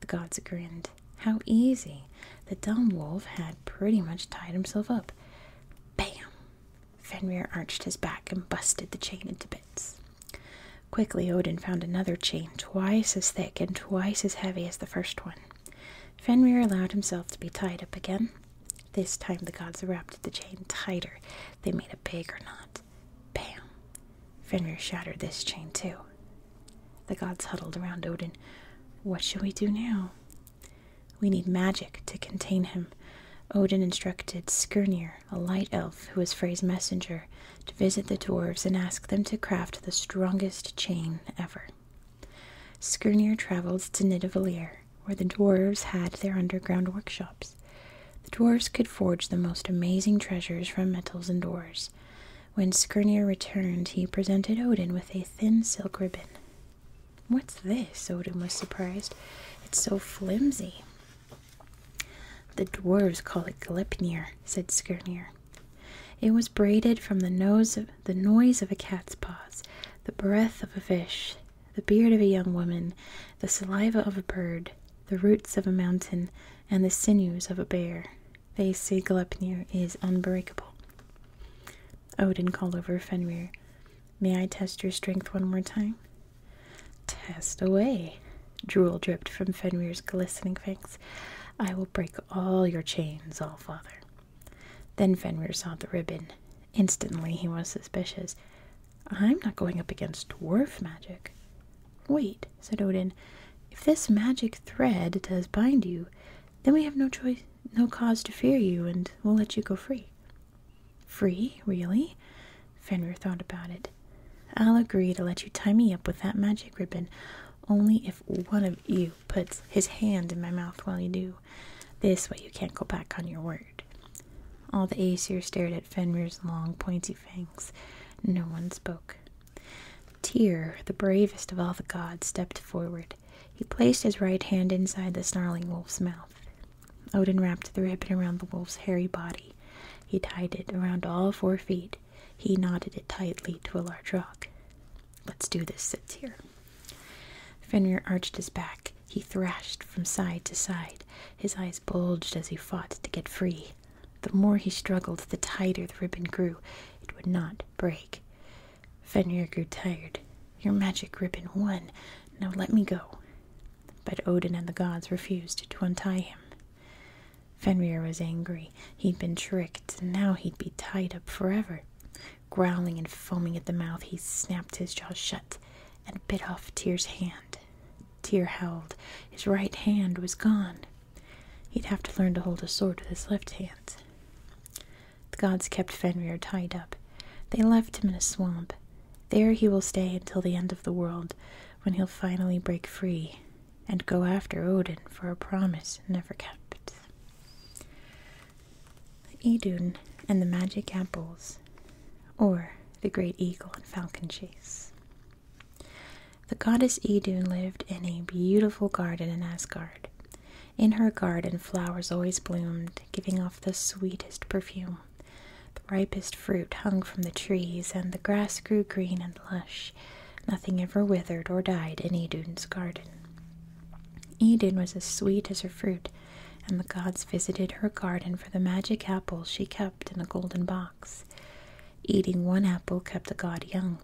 The gods grinned. How easy! The dumb wolf had pretty much tied himself up. Bam! Fenrir arched his back and busted the chain into bits. Quickly, Odin found another chain twice as thick and twice as heavy as the first one. Fenrir allowed himself to be tied up again. This time the gods wrapped the chain tighter. They made a bigger knot. Bam! Fenrir shattered this chain too. The gods huddled around Odin. What shall we do now? We need magic to contain him. Odin instructed Skirnir, a light elf who was Frey's messenger, to visit the dwarves and ask them to craft the strongest chain ever. Skirnir traveled to Nidavellir, where the dwarves had their underground workshops. The dwarves could forge the most amazing treasures from metals and ores. When Skirnir returned, he presented Odin with a thin silk ribbon. What's this? Odin was surprised. It's so flimsy. The dwarves call it Gleipnir, said Skirnir. It was braided from the nose of the noise of a cat's paws, the breath of a fish, the beard of a young woman, the saliva of a bird, the roots of a mountain, and the sinews of a bear. They say Gleipnir is unbreakable. Odin called over Fenrir. May I test your strength one more time? Test away. Drool dripped from Fenrir's glistening fangs. I will break all your chains, all father. Then Fenrir saw the ribbon. Instantly he was suspicious. I'm not going up against dwarf magic. Wait, said Odin, if this magic thread does bind you, then we have no choice no cause to fear you, and we'll let you go free. Free, really? Fenrir thought about it. I'll agree to let you tie me up with that magic ribbon, only if one of you puts his hand in my mouth while you do. This way you can't go back on your word. All the Aesir stared at Fenrir's long, pointy fangs. No one spoke. Tyr, the bravest of all the gods, stepped forward. He placed his right hand inside the snarling wolf's mouth. Odin wrapped the ribbon around the wolf's hairy body. He tied it around all four feet. He knotted it tightly to a large rock. Let's do this, said Tyr. Fenrir arched his back. He thrashed from side to side. His eyes bulged as he fought to get free. The more he struggled, the tighter the ribbon grew. It would not break. Fenrir grew tired. Your magic ribbon won. Now let me go. But Odin and the gods refused to untie him. Fenrir was angry. He'd been tricked, and now he'd be tied up forever. Growling and foaming at the mouth, he snapped his jaws shut and bit off Tyr's hand. Tyr howled. His right hand was gone. He'd have to learn to hold a sword with his left hand. The gods kept Fenrir tied up. They left him in a swamp. There he will stay until the end of the world, when he'll finally break free and go after Odin for a promise never kept. Idun and the Magic Apples, or the Great Eagle and Falcon Chase. The goddess Idun lived in a beautiful garden in Asgard. In her garden, flowers always bloomed, giving off the sweetest perfume. The ripest fruit hung from the trees, and the grass grew green and lush. Nothing ever withered or died in Idun's garden. Idun was as sweet as her fruit, and the gods visited her garden for the magic apples she kept in a golden box. Eating one apple kept the god young,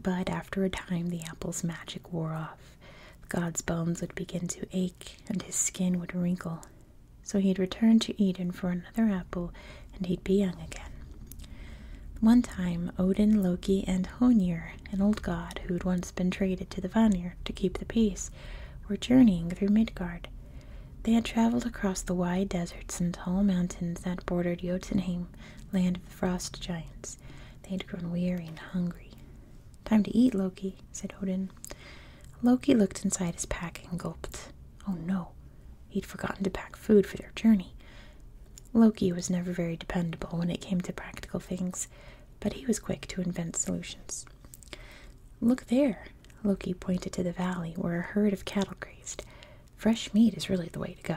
but after a time the apple's magic wore off. The god's bones would begin to ache and his skin would wrinkle. So he'd return to Eden for another apple and he'd be young again. One time, Odin, Loki, and Honir, an old god who'd once been traded to the Vanir to keep the peace, were journeying through Midgard. They had traveled across the wide deserts and tall mountains that bordered Jotunheim land of the frost giants. They had grown weary and hungry. Time to eat, Loki, said Odin. Loki looked inside his pack and gulped. Oh no, he'd forgotten to pack food for their journey. Loki was never very dependable when it came to practical things, but he was quick to invent solutions. Look there, Loki pointed to the valley where a herd of cattle grazed. Fresh meat is really the way to go.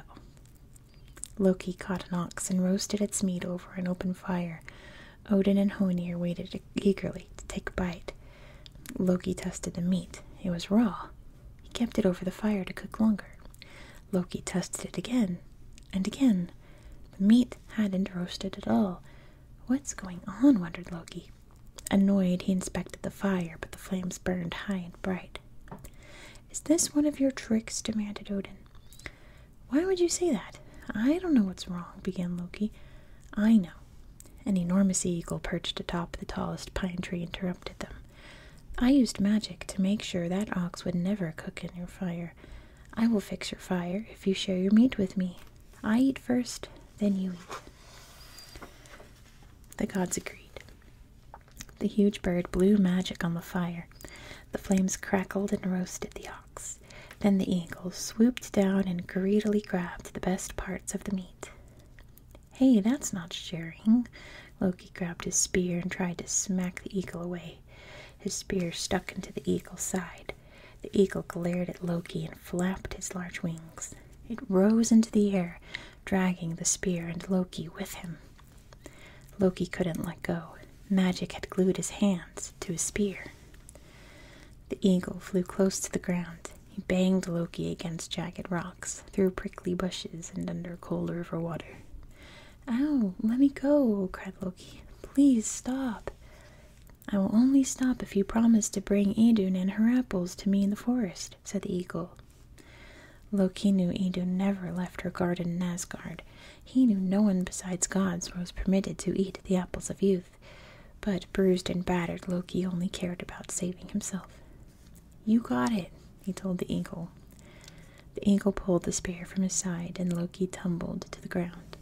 Loki caught an ox and roasted its meat over an open fire. Odin and Hoenir waited eagerly to take a bite. Loki tested the meat. It was raw. He kept it over the fire to cook longer. Loki tested it again and again. The meat hadn't roasted at all. What's going on? wondered Loki. Annoyed, he inspected the fire, but the flames burned high and bright. Is this one of your tricks? demanded Odin. Why would you say that? I don't know what's wrong, began Loki. I know. An enormous eagle perched atop the tallest pine tree interrupted them. I used magic to make sure that ox would never cook in your fire. I will fix your fire if you share your meat with me. I eat first, then you eat. The gods agreed. The huge bird blew magic on the fire. The flames crackled and roasted the ox. Then the eagle swooped down and greedily grabbed the best parts of the meat. Hey, that's not sharing. Loki grabbed his spear and tried to smack the eagle away. His spear stuck into the eagle's side. The eagle glared at Loki and flapped his large wings. It rose into the air, dragging the spear and Loki with him. Loki couldn't let go. Magic had glued his hands to his spear. The eagle flew close to the ground. He banged Loki against jagged rocks, through prickly bushes, and under cold river water. Ow, let me go, cried Loki. Please stop. I will only stop if you promise to bring Idun and her apples to me in the forest said the eagle. Loki Lokinu Idu never left her garden in Asgard. He knew no one besides gods was permitted to eat the apples of youth. But bruised and battered, Loki only cared about saving himself. You got it, he told the eagle. The eagle pulled the spear from his side, and Loki tumbled to the ground.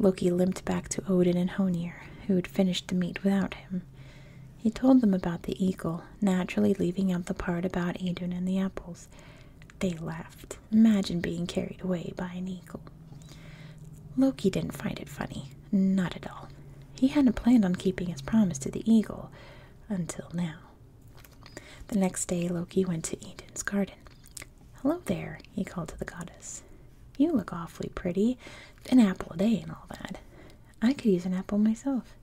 Loki limped back to Odin and Honir, who had finished the meat without him. He told them about the eagle, naturally leaving out the part about Idun and the apples. They laughed. Imagine being carried away by an eagle. Loki didn't find it funny. Not at all. He hadn't planned on keeping his promise to the eagle until now. The next day, Loki went to Idun's garden. Hello there, he called to the goddess. You look awfully pretty. An apple a day and all that. I could use an apple myself.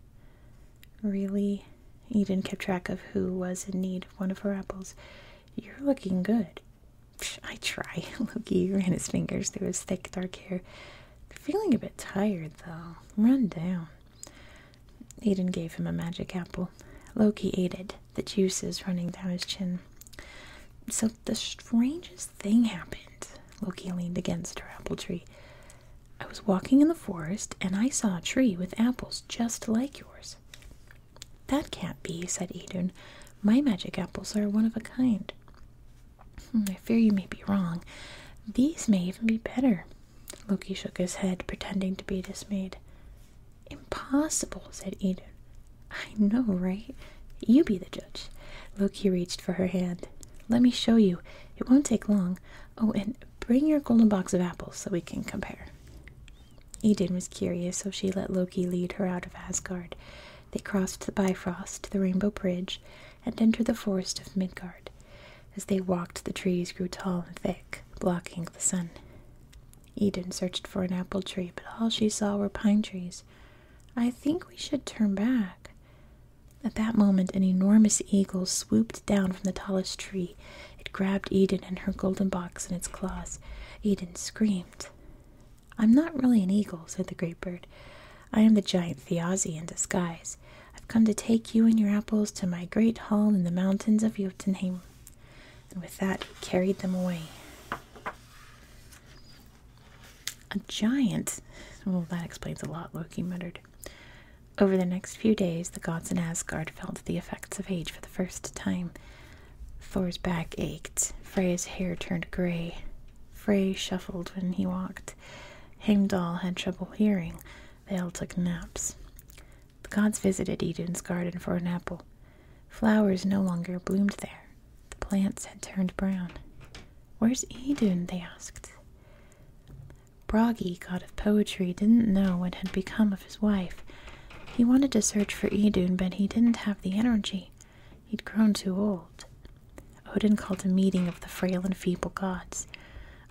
Really? Eden kept track of who was in need of one of her apples. You're looking good. I try. *laughs* Loki ran his fingers through his thick dark hair. feeling a bit tired, though. Run down. Eden gave him a magic apple. Loki ate it, the juices running down his chin. So the strangest thing happened. Loki leaned against her apple tree. I was walking in the forest and I saw a tree with apples just like yours. That can't be, said Idun. My magic apples are one of a kind. Hmm, I fear you may be wrong. These may even be better. Loki shook his head, pretending to be dismayed. Impossible, said Idun. I know, right? You be the judge. Loki reached for her hand. Let me show you. It won't take long. Oh, and bring your golden box of apples so we can compare. Eden was curious, so she let Loki lead her out of Asgard. They crossed the Bifrost, to the Rainbow Bridge, and entered the forest of Midgard. As they walked, the trees grew tall and thick, blocking the sun. Eden searched for an apple tree, but all she saw were pine trees. I think we should turn back. At that moment, an enormous eagle swooped down from the tallest tree. It grabbed Eden and her golden box in its claws. Eden screamed. I'm not really an eagle, said the great bird. I am the giant Thiazi in disguise. I've come to take you and your apples to my great hall in the mountains of Jotunheim. And with that, he carried them away. A giant? Well, that explains a lot, Loki muttered. Over the next few days, the gods in Asgard felt the effects of age for the first time. Thor's back ached, Freya's hair turned gray. Frey shuffled when he walked. Heimdall had trouble hearing. They all took naps. The gods visited Eden's garden for an apple. Flowers no longer bloomed there. The plants had turned brown. Where's Eden? they asked. Bragi, god of poetry, didn't know what had become of his wife. He wanted to search for Idun, but he didn't have the energy. He'd grown too old. Odin called a meeting of the frail and feeble gods.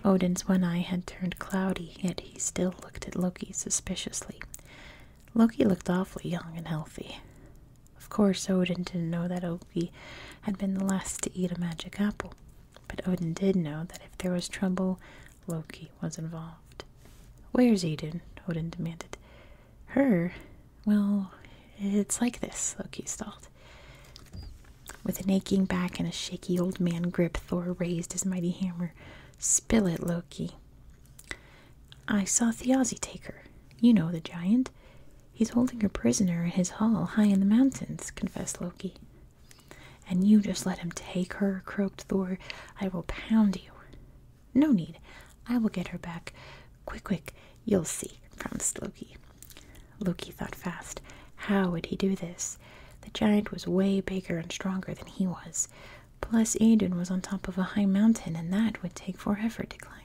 Odin's one eye had turned cloudy, yet he still looked at Loki suspiciously. Loki looked awfully young and healthy. Of course, Odin didn't know that Loki had been the last to eat a magic apple. But Odin did know that if there was trouble, Loki was involved. Where's Eden? Odin demanded. Her? Well, it's like this, Loki stalled. With an aching back and a shaky old man grip, Thor raised his mighty hammer. Spill it, Loki. I saw Thjazi take her. You know the giant. He's holding her prisoner in his hall high in the mountains, confessed Loki. And you just let him take her, croaked Thor. I will pound you. No need. I will get her back. Quick, quick, you'll see, promised Loki. Loki thought fast. How would he do this? The giant was way bigger and stronger than he was. Plus, Idun was on top of a high mountain, and that would take forever to climb.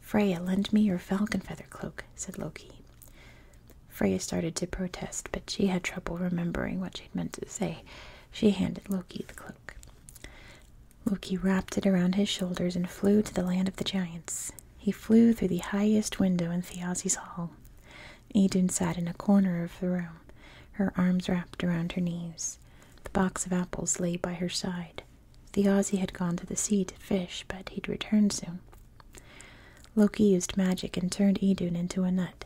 Freya, lend me your falcon feather cloak, said Loki. Freya started to protest, but she had trouble remembering what she'd meant to say. She handed Loki the cloak. Loki wrapped it around his shoulders and flew to the land of the giants. He flew through the highest window in Thjazi's hall. Idun sat in a corner of the room, her arms wrapped around her knees. The box of apples lay by her side. Thiazi had gone to the sea to fish, but he'd return soon. Loki used magic and turned Idun into a nut.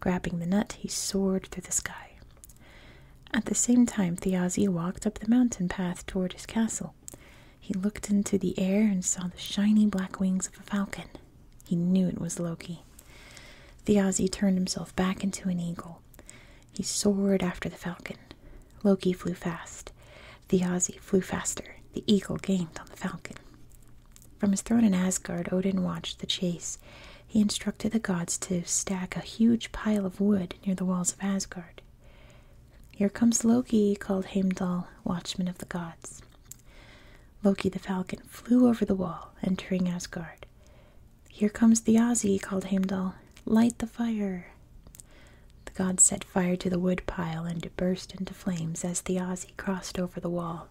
Grabbing the nut, he soared through the sky. At the same time, Thjazi walked up the mountain path toward his castle. He looked into the air and saw the shiny black wings of a falcon. He knew it was Loki. Thjazi turned himself back into an eagle. He soared after the falcon. Loki flew fast nest. The Aussie flew faster. The eagle gained on the falcon. From his throne in Asgard, Odin watched the chase. He instructed the gods to stack a huge pile of wood near the walls of Asgard. Here comes Loki, called Heimdall, watchman of the gods. Loki the falcon flew over the wall, entering Asgard. Here comes the Aussie, called Heimdall. Light the fire. The gods said set fire to the wood pile and it burst into flames as the Aussie crossed over the wall.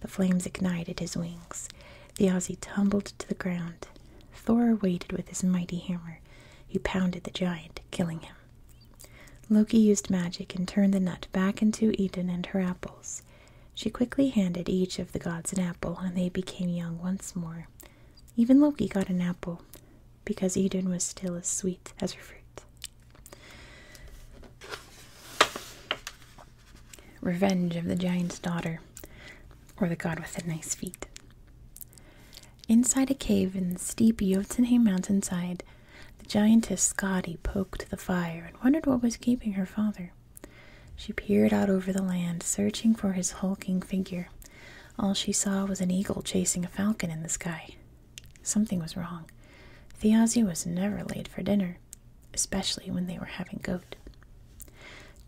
The flames ignited his wings. The Aussie tumbled to the ground. Thor waited with his mighty hammer. He pounded the giant, killing him. Loki used magic and turned the nut back into Eden and her apples. She quickly handed each of the gods an apple, and they became young once more. Even Loki got an apple because Eden was still as sweet as her fruit. Revenge of the Giant's Daughter, or the God with the Nice Feet. Inside a cave in the steep mountain side, the giantess Skadi poked the fire and wondered what was keeping her father. She peered out over the land, searching for his hulking figure. All she saw was an eagle chasing a falcon in the sky. Something was wrong. Thiazi was never late for dinner, especially when they were having goat.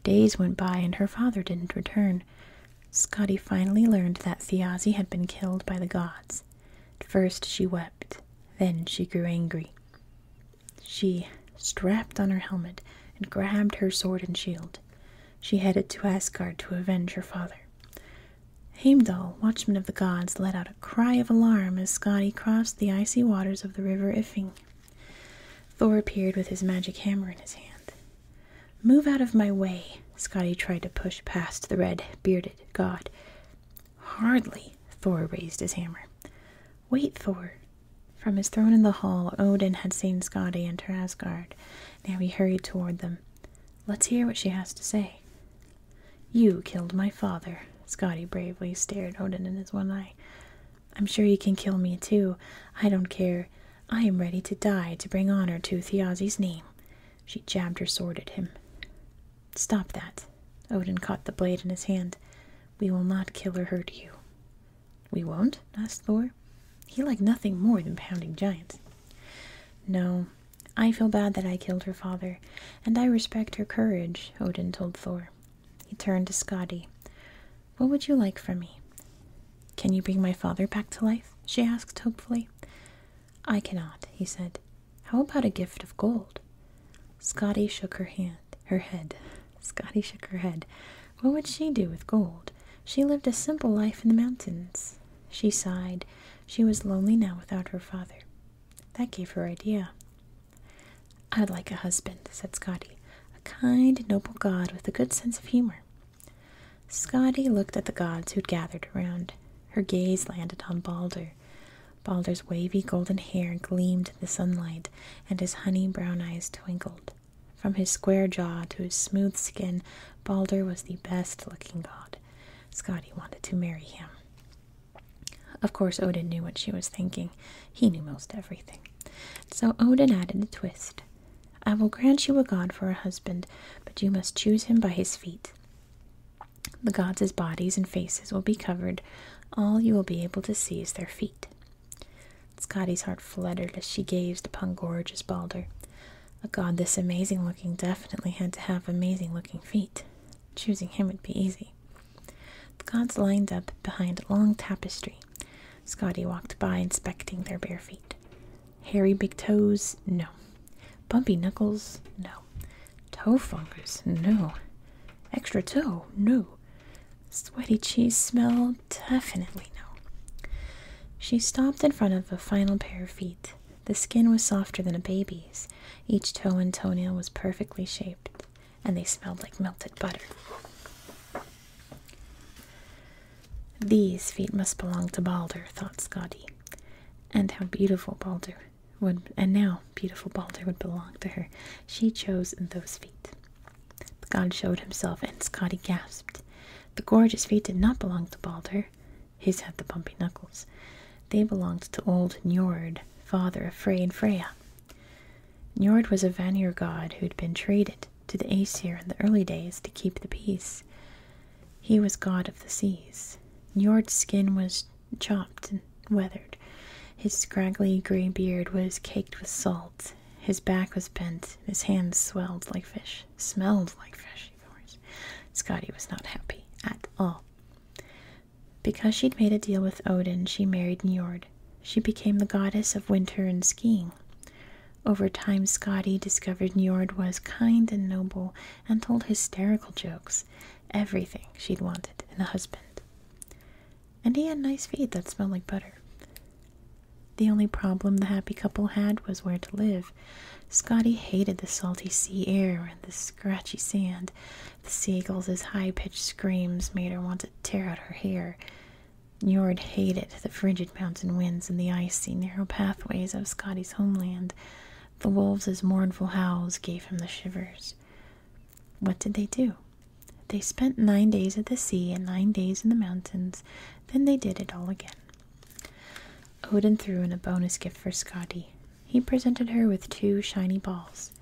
Days went by and her father didn't return. Scotty finally learned that Thiazi had been killed by the gods. first she wept, then she grew angry. She strapped on her helmet and grabbed her sword and shield. She headed to Asgard to avenge her father. Heimdall, watchman of the gods, let out a cry of alarm as Skadi crossed the icy waters of the river Ifing. Thor appeared with his magic hammer in his hand. Move out of my way! Skadi tried to push past the red bearded god. Hardly! Thor raised his hammer. Wait, Thor! From his throne in the hall, Odin had seen Skadi enter Asgard. Now he hurried toward them. Let's hear what she has to say. You killed my father. Scotty bravely stared Odin in his one eye. I'm sure you can kill me too. I don't care. I am ready to die to bring honor to Thiazi's name. She jabbed her sword at him. Stop that. Odin caught the blade in his hand. We will not kill or hurt you. We won't? asked Thor. He liked nothing more than pounding giants. No, I feel bad that I killed her father, and I respect her courage, Odin told Thor. He turned to Skadi. What would you like from me? Can you bring my father back to life? she asked hopefully. I cannot, he said. How about a gift of gold? Scotty shook her hand, her head. Scotty shook her head. What would she do with gold? She lived a simple life in the mountains. She sighed. She was lonely now without her father. That gave her idea. I'd like a husband, said Scotty. A kind, noble god with a good sense of humor. Scotty looked at the gods who'd gathered around. Her gaze landed on Balder. Balder's wavy golden hair gleamed in the sunlight, and his honey brown eyes twinkled. From his square jaw to his smooth skin, Balder was the best looking god. Scotty wanted to marry him. Of course, Odin knew what she was thinking. He knew most everything. So Odin added a twist I will grant you a god for a husband, but you must choose him by his feet. The gods' bodies and faces will be covered. All you will be able to see is their feet. Scotty's heart fluttered as she gazed upon gorgeous Balder. A god this amazing looking definitely had to have amazing looking feet. Choosing him would be easy. The gods lined up behind a long tapestry. Scotty walked by, inspecting their bare feet. Hairy big toes? No. Bumpy knuckles? No. Toe fungus? No. Extra toe? No. Sweaty cheese smell? Definitely no. She stopped in front of a final pair of feet. The skin was softer than a baby's. Each toe and toenail was perfectly shaped, and they smelled like melted butter. These feet must belong to Balder, thought Scotty. And how beautiful Balder would and now beautiful Balder would belong to her. She chose those feet. The god showed himself and Scotty gasped. The gorgeous feet did not belong to Balder. His had the bumpy knuckles. They belonged to old Njord, father of Frey and Freya. Njord was a Vanir god who'd been traded to the Aesir in the early days to keep the peace. He was god of the seas. Njord's skin was chopped and weathered. His scraggly grey beard was caked with salt. His back was bent. His hands swelled like fish. Smelled like fish, of course. Scotty was not happy at all. Because she'd made a deal with Odin, she married Njord. She became the goddess of winter and skiing. Over time, Scotty discovered Njord was kind and noble and told hysterical jokes, everything she'd wanted in a husband. And he had nice feet that smelled like butter. The only problem the happy couple had was where to live. Scotty hated the salty sea air and the scratchy sand. The seagulls' high pitched screams made her want to tear out her hair. Njord hated the frigid mountain winds and the icy, narrow pathways of Scotty's homeland. The wolves' mournful howls gave him the shivers. What did they do? They spent nine days at the sea and nine days in the mountains. Then they did it all again. Odin threw in a bonus gift for Scotty he presented her with two shiny balls.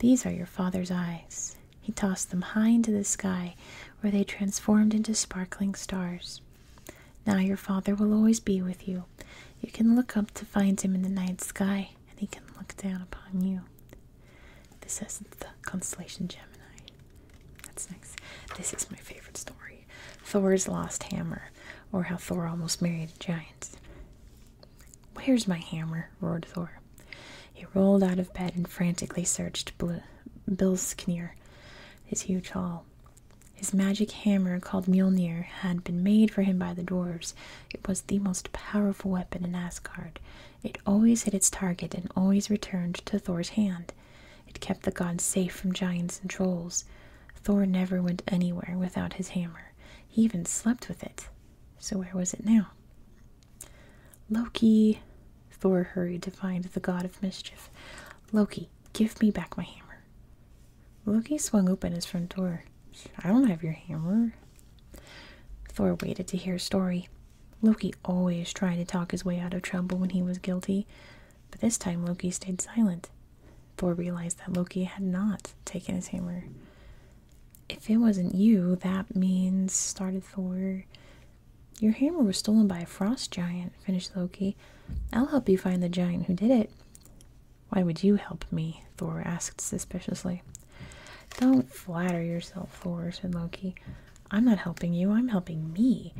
These are your father's eyes. He tossed them high into the sky, where they transformed into sparkling stars. Now your father will always be with you. You can look up to find him in the night sky, and he can look down upon you. This is the constellation Gemini. That's nice. This is my favorite story. Thor's Lost Hammer, or how Thor almost married a giant. Where's my hammer? roared Thor. He rolled out of bed and frantically searched Bl Bilsknir, his huge hall. His magic hammer, called Mjolnir, had been made for him by the dwarves. It was the most powerful weapon in Asgard. It always hit its target and always returned to Thor's hand. It kept the gods safe from giants and trolls. Thor never went anywhere without his hammer. He even slept with it. So where was it now? Loki, Thor hurried to find the god of mischief. Loki, give me back my hammer. Loki swung open his front door. I don't have your hammer. Thor waited to hear a story. Loki always tried to talk his way out of trouble when he was guilty, but this time Loki stayed silent. Thor realized that Loki had not taken his hammer. If it wasn't you, that means, started Thor. Your hammer was stolen by a frost giant, finished Loki. I'll help you find the giant who did it. Why would you help me? Thor asked suspiciously. Don't flatter yourself, Thor, said Loki. I'm not helping you, I'm helping me.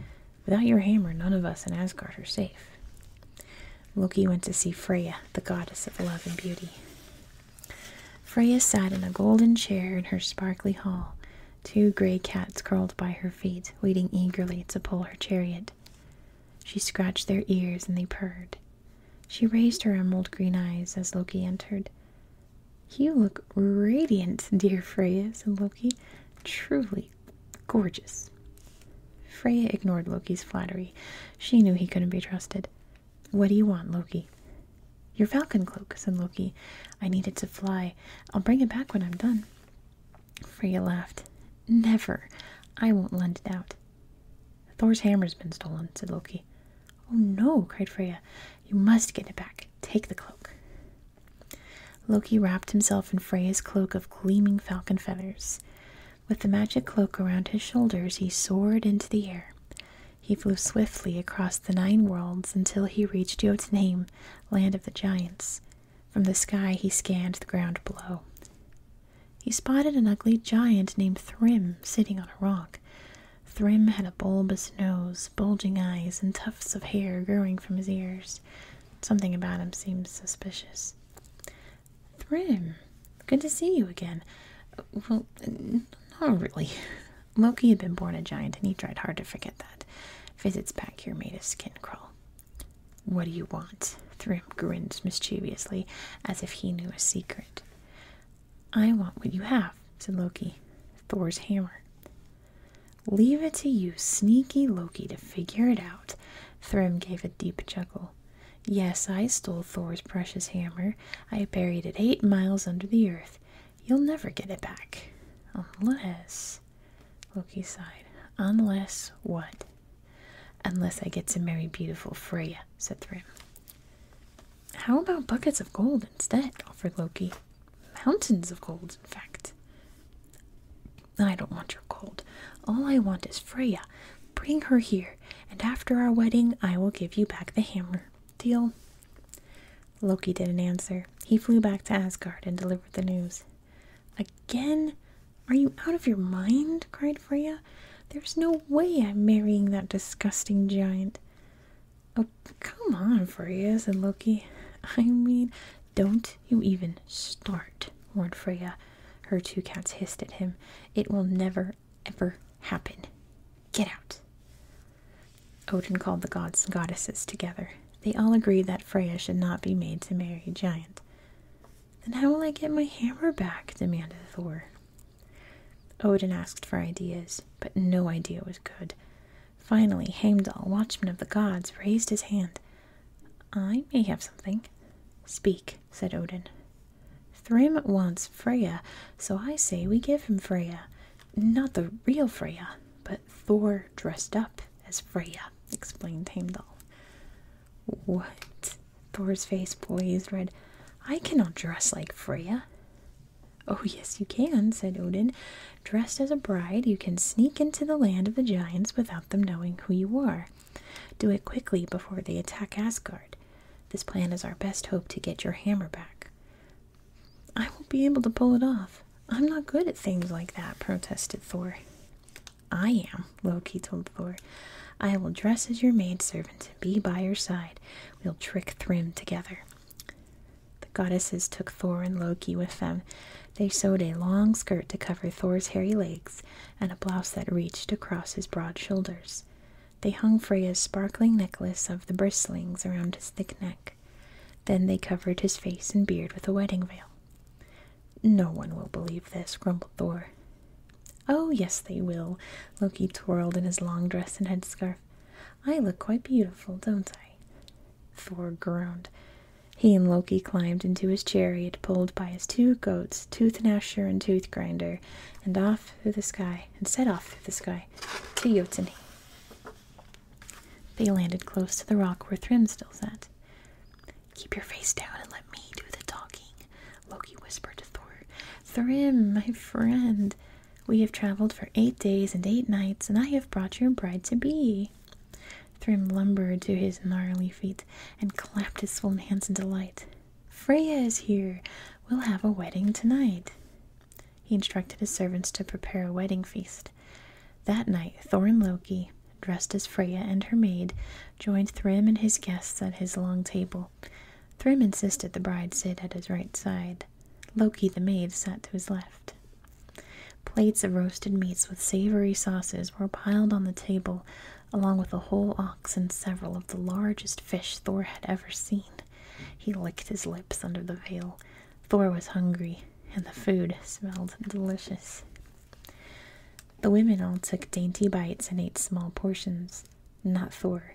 Without your hammer, none of us in Asgard are safe. Loki went to see Freya, the goddess of love and beauty. Freya sat in a golden chair in her sparkly hall, two gray cats curled by her feet, waiting eagerly to pull her chariot. She scratched their ears and they purred. She raised her emerald green eyes as Loki entered. You look radiant, dear Freya, said Loki. Truly Gorgeous. Freya ignored Loki's flattery. She knew he couldn't be trusted. What do you want, Loki? Your falcon cloak, said Loki. I need it to fly. I'll bring it back when I'm done. Freya laughed. Never. I won't lend it out. Thor's hammer's been stolen, said Loki. Oh no, cried Freya. You must get it back. Take the cloak. Loki wrapped himself in Freya's cloak of gleaming falcon feathers. With the magic cloak around his shoulders, he soared into the air. He flew swiftly across the nine worlds until he reached Jotunheim, land of the giants. From the sky, he scanned the ground below. He spotted an ugly giant named Thrym sitting on a rock. Thrym had a bulbous nose, bulging eyes, and tufts of hair growing from his ears. Something about him seemed suspicious. Thrym, good to see you again. Well, not really. Loki had been born a giant and he tried hard to forget that. Visits back here made his skin crawl. What do you want? Thrym grinned mischievously, as if he knew a secret. I want what you have, said Loki. Thor's hammer. Leave it to you, sneaky Loki, to figure it out. Thrym gave a deep chuckle. Yes, I stole Thor's precious hammer. I buried it eight miles under the earth. You'll never get it back. Unless. Loki sighed. Unless what? Unless I get to marry beautiful Freya, said Thrym. How about buckets of gold instead? offered Loki. Mountains of gold, in fact. I don't want your gold. All I want is Freya. Bring her here, and after our wedding, I will give you back the hammer. Deal? Loki didn't answer. He flew back to Asgard and delivered the news. Again? Are you out of your mind? cried Freya. There's no way I'm marrying that disgusting giant. Oh, come on, Freya, said Loki. I mean, don't you even start, warned Freya. Her two cats hissed at him. It will never, ever happen. Get out. Odin called the gods and goddesses together. They all agreed that Freya should not be made to marry a giant. Then how will I get my hammer back? demanded Thor. Odin asked for ideas, but no idea was good. Finally, Heimdall, watchman of the gods, raised his hand. I may have something. Speak said Odin. Thrym wants Freya, so I say we give him Freya. Not the real Freya, but Thor dressed up as Freya, explained Heimdall. What? Thor's face blazed red. I cannot dress like Freya. Oh, yes, you can, said Odin. Dressed as a bride, you can sneak into the land of the giants without them knowing who you are. Do it quickly before they attack Asgard. This plan is our best hope to get your hammer back. I won't be able to pull it off. I'm not good at things like that, protested Thor. I am, Loki told Thor. I will dress as your maid servant and be by your side. We'll trick Thrym together. The goddesses took Thor and Loki with them. They sewed a long skirt to cover Thor's hairy legs, and a blouse that reached across his broad shoulders. They hung Freya's sparkling necklace of the bristlings around his thick neck. Then they covered his face and beard with a wedding veil. No one will believe this, grumbled Thor. Oh, yes, they will. Loki twirled in his long dress and headscarf. I look quite beautiful, don't I? Thor groaned. He and Loki climbed into his chariot pulled by his two goats its tooth nasher and tooth grinder, and off through the sky, and set off through the sky to Jotun. They landed close to the rock where Thrym still sat. Keep your face down and let me do the talking, Loki whispered to Thor. Thrym, my friend, we have traveled for eight days and eight nights, and I have brought your bride to be. Thrym lumbered to his gnarly feet and clapped his swollen hands in delight. Freya is here. We'll have a wedding tonight. He instructed his servants to prepare a wedding feast. That night, Thor and Loki, dressed as Freya and her maid, joined Thrym and his guests at his long table. Thrym insisted the bride sit at his right side. Loki, the maid, sat to his left. Plates of roasted meats with savory sauces were piled on the table, along with a whole ox and several of the largest fish Thor had ever seen. He licked his lips under the veil. Thor was hungry, and the food smelled delicious. The women all took dainty bites and ate small portions. Not Thor.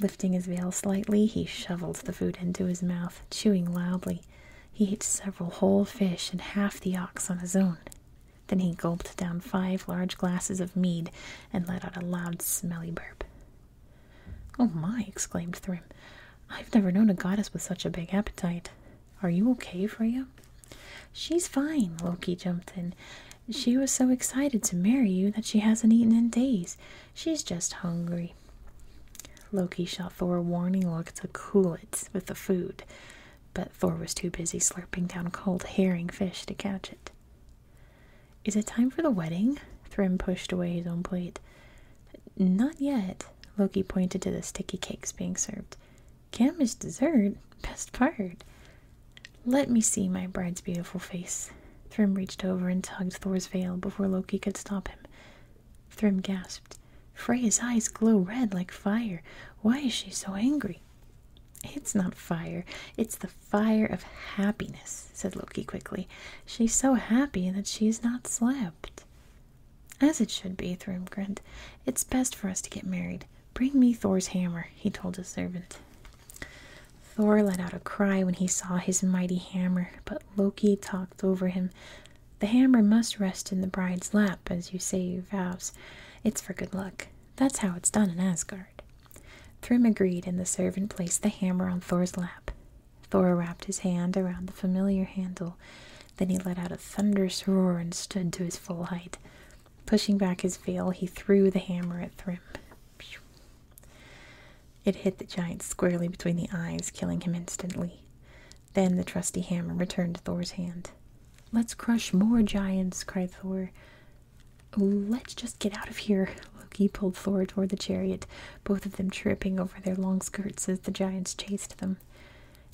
Lifting his veil slightly, he shoveled the food into his mouth, chewing loudly. He ate several whole fish and half the ox on his own. Then he gulped down five large glasses of mead and let out a loud, smelly burp. Oh my, exclaimed Thrym. I've never known a goddess with such a big appetite. Are you okay, Freya? She's fine, Loki jumped in. She was so excited to marry you that she hasn't eaten in days. She's just hungry. Loki shot Thor a warning look to cool it with the food but Thor was too busy slurping down cold herring fish to catch it. Is it time for the wedding? Thrym pushed away his own plate. Not yet. Loki pointed to the sticky cakes being served. Gamish dessert. *laughs* Best part. Let me see my bride's beautiful face. Thrym reached over and tugged Thor's veil before Loki could stop him. Thrym gasped. Freya's eyes glow red like fire. Why is she so angry? It's not fire, it's the fire of happiness, said Loki quickly. She's so happy that she's not slept. As it should be, grinned. It's best for us to get married. Bring me Thor's hammer, he told his servant. Thor let out a cry when he saw his mighty hammer, but Loki talked over him. The hammer must rest in the bride's lap, as you say your vows. It's for good luck. That's how it's done in Asgard. Thrym agreed, and the servant placed the hammer on Thor's lap. Thor wrapped his hand around the familiar handle. Then he let out a thunderous roar and stood to his full height. Pushing back his veil, he threw the hammer at Thrym. It hit the giant squarely between the eyes, killing him instantly. Then the trusty hammer returned to Thor's hand. Let's crush more giants, cried Thor. Let's just get out of here. Loki pulled Thor toward the chariot, both of them tripping over their long skirts as the giants chased them.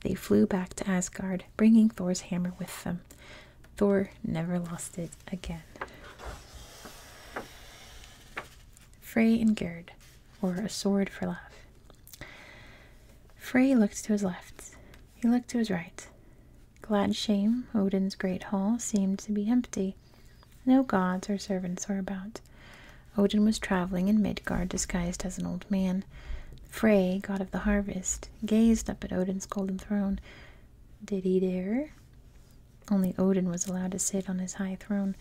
They flew back to Asgard, bringing Thor's hammer with them. Thor never lost it again. Frey and Gerd, or a sword for love. Frey looked to his left. He looked to his right. Glad shame! Odin's great hall, seemed to be empty. No gods or servants were about. Odin was traveling in Midgard disguised as an old man. Frey, god of the harvest, gazed up at Odin's golden throne. Did he dare? Only Odin was allowed to sit on his high throne.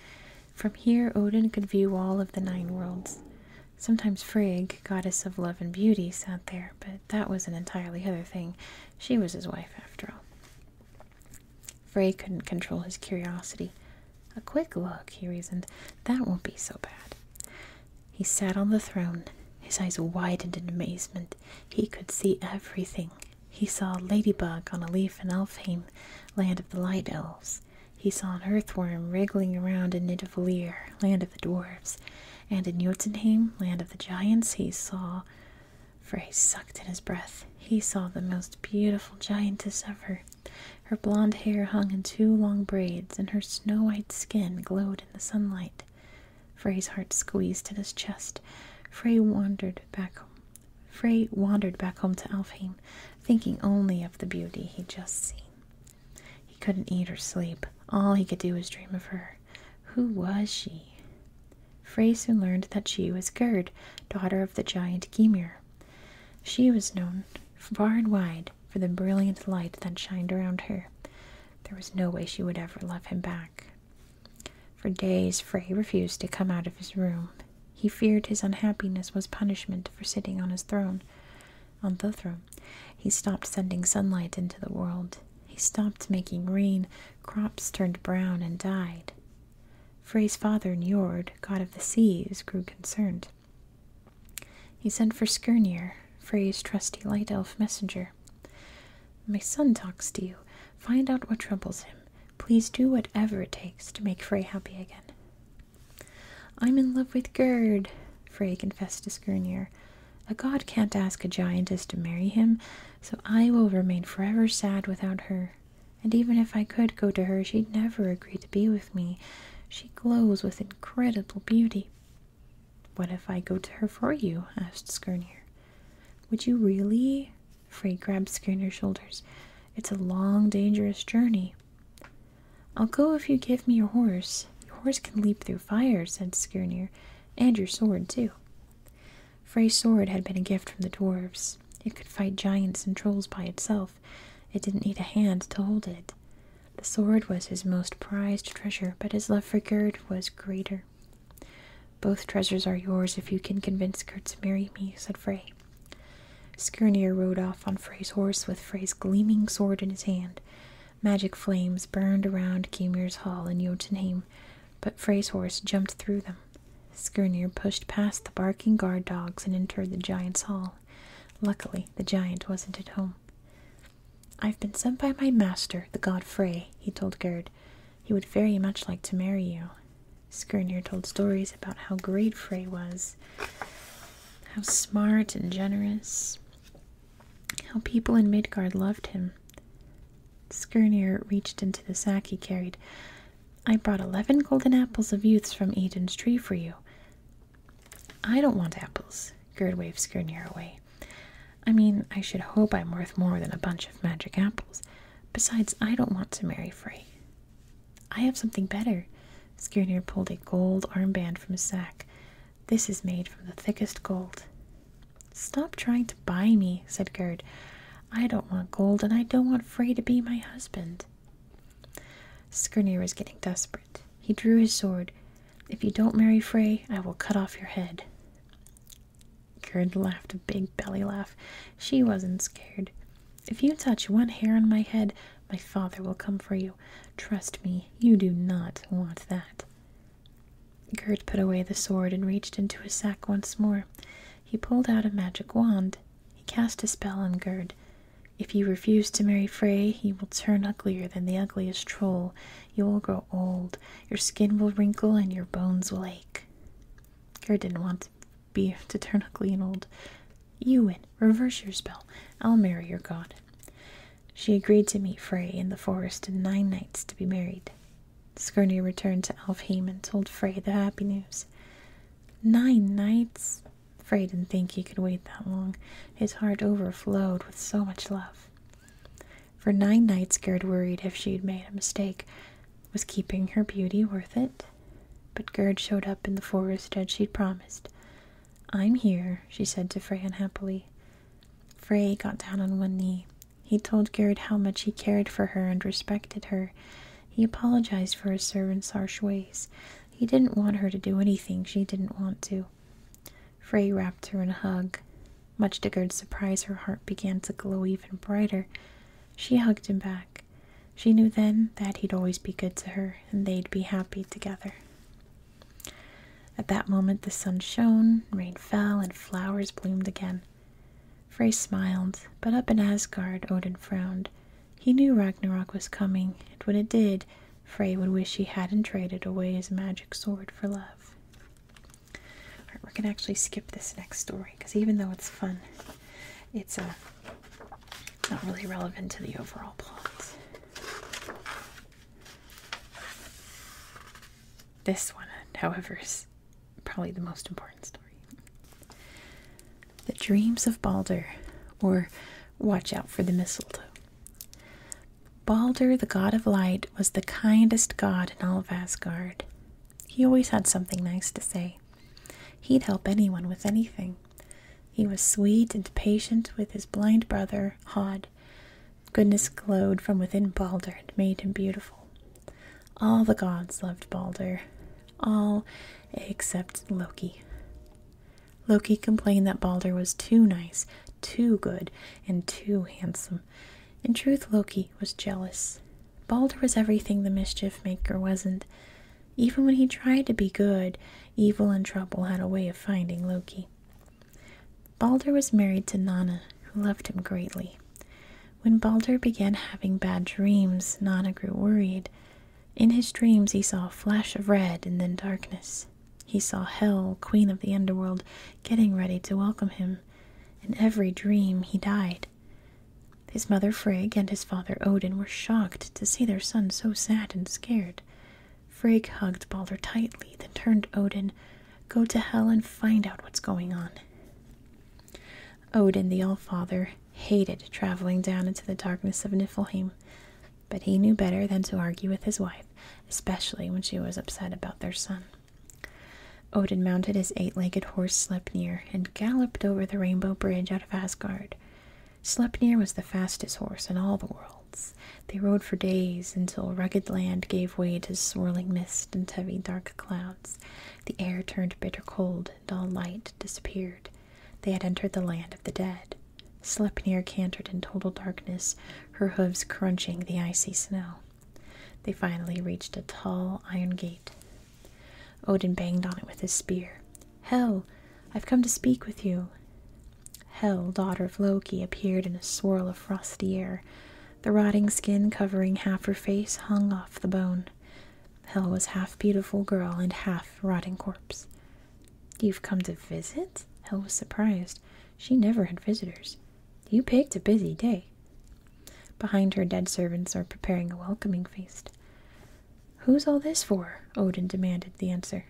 From here, Odin could view all of the nine worlds. Sometimes Frigg, goddess of love and beauty, sat there, but that was an entirely other thing. She was his wife, after all. Frey couldn't control his curiosity. A quick look, he reasoned. That won't be so bad. He sat on the throne. His eyes widened in amazement. He could see everything. He saw a ladybug on a leaf in Elfheim, land of the light elves. He saw an earthworm wriggling around in Nidavellir, land of the dwarves. And in Jotunheim, land of the giants, he saw, for he sucked in his breath, he saw the most beautiful giantess ever. Her blonde hair hung in two long braids, and her snow white skin glowed in the sunlight. Frey's heart squeezed in his chest. Frey wandered back home. Frey wandered back home to Alfheim, thinking only of the beauty he'd just seen. He couldn't eat or sleep. All he could do was dream of her. Who was she? Frey soon learned that she was Gerd, daughter of the giant Gymir. She was known far and wide for the brilliant light that shined around her. There was no way she would ever love him back. For days, Frey refused to come out of his room. He feared his unhappiness was punishment for sitting on his throne, on the throne. He stopped sending sunlight into the world. He stopped making rain. Crops turned brown and died. Frey's father, Njord, god of the seas, grew concerned. He sent for Skirnir, Frey's trusty light elf messenger. My son talks to you. Find out what troubles him. Please do whatever it takes to make Frey happy again. I'm in love with Gerd, Frey confessed to Skirnir. A god can't ask a giantess to marry him, so I will remain forever sad without her. And even if I could go to her, she'd never agree to be with me. She glows with incredible beauty. What if I go to her for you? asked Skirnir. Would you really? Frey grabbed Skirnir's shoulders. It's a long, dangerous journey. I'll go if you give me your horse. Your horse can leap through fire, said Skirnir and your sword, too. Frey's sword had been a gift from the dwarves. It could fight giants and trolls by itself. It didn't need a hand to hold it. The sword was his most prized treasure, but his love for Gerd was greater. Both treasures are yours if you can convince Gerd to marry me, said Frey. Skirnir rode off on Frey's horse with Frey's gleaming sword in his hand. Magic flames burned around Gymir's hall in Jotunheim, but Frey's horse jumped through them. Skirnir pushed past the barking guard dogs and entered the giant's hall. Luckily, the giant wasn't at home. I've been sent by my master, the god Frey, he told Gerd. He would very much like to marry you. Skirnir told stories about how great Frey was, how smart and generous. How people in Midgard loved him. Skirnir reached into the sack he carried. I brought eleven golden apples of youths from Eden's tree for you. I don't want apples, Gerd waved Skirnir away. I mean, I should hope I'm worth more than a bunch of magic apples. Besides, I don't want to marry Frey. I have something better. Skirnir pulled a gold armband from his sack. This is made from the thickest gold. Stop trying to buy me, said Gerd. I don't want gold, and I don't want Frey to be my husband. Skirnir was getting desperate. He drew his sword. If you don't marry Frey, I will cut off your head. Gerd laughed a big belly laugh. She wasn't scared. If you touch one hair on my head, my father will come for you. Trust me, you do not want that. Gerd put away the sword and reached into his sack once more. He pulled out a magic wand. He cast a spell on Gerd. If you refuse to marry Frey, he will turn uglier than the ugliest troll. You will grow old. Your skin will wrinkle and your bones will ache. Gerd didn't want to be to turn ugly and old. You win. Reverse your spell. I'll marry your god. She agreed to meet Frey in the forest in nine nights to be married. Skirnir returned to Alfheim and told Frey the happy news. Nine nights? Frey didn't think he could wait that long. His heart overflowed with so much love. For nine nights, Gerd worried if she'd made a mistake. Was keeping her beauty worth it? But Gerd showed up in the forest as she'd promised. I'm here, she said to Frey unhappily. Frey got down on one knee he told Garrett how much he cared for her and respected her. He apologized for his servant's harsh ways. He didn't want her to do anything she didn't want to. Frey wrapped her in a hug. Much to Gerd's surprise, her heart began to glow even brighter. She hugged him back. She knew then that he'd always be good to her, and they'd be happy together. At that moment the sun shone, rain fell, and flowers bloomed again. Frey smiled, but up in Asgard Odin frowned. He knew Ragnarok was coming, and when it did, Frey would wish he hadn't traded away his magic sword for love. we're gonna actually skip this next story, because even though it's fun, it's uh, not really relevant to the overall plot. This one, however, is probably the most important story. The Dreams of Balder, or Watch Out for the Mistletoe. Balder, the god of light, was the kindest god in all of Asgard. He always had something nice to say. He'd help anyone with anything. He was sweet and patient with his blind brother, Hod, Goodness glowed from within Balder and made him beautiful. All the gods loved Balder, all except Loki. Loki complained that Balder was too nice, too good, and too handsome. In truth, Loki was jealous. Balder was everything the mischief maker wasn't. Even when he tried to be good, evil and trouble had a way of finding Loki. Balder was married to Nanna, who loved him greatly. When Balder began having bad dreams, Nanna grew worried. In his dreams, he saw a flash of red and then darkness. He saw Hel, queen of the underworld, getting ready to welcome him. In every dream, he died. His mother Frigg and his father Odin were shocked to see their son so sad and scared. Frigg hugged Balder tightly, then turned Odin Go to hell and find out what's going on. Odin the All-Father, hated traveling down into the darkness of Niflheim, but he knew better than to argue with his wife, especially when she was upset about their son. Odin mounted his eight-legged horse Sleipnir and galloped over the Rainbow Bridge out of Asgard. Sleipnir was the fastest horse in all the worlds. They rode for days until rugged land gave way to swirling mist and heavy dark clouds. The air turned bitter cold, and all light disappeared. They had entered the land of the dead. Sleipnir cantered in total darkness, her hooves crunching the icy snow. They finally reached a tall iron gate. Odin banged on it with his spear. Hel, I've come to speak with you. Hel, daughter of Loki, appeared in a swirl of frosty air. The rotting skin covering half her face hung off the bone. Hell was half beautiful girl and half rotting corpse. You've come to visit? Hell was surprised. She never had visitors. You picked a busy day. Behind her, dead servants are preparing a welcoming feast. Who's all this for? Odin demanded the answer.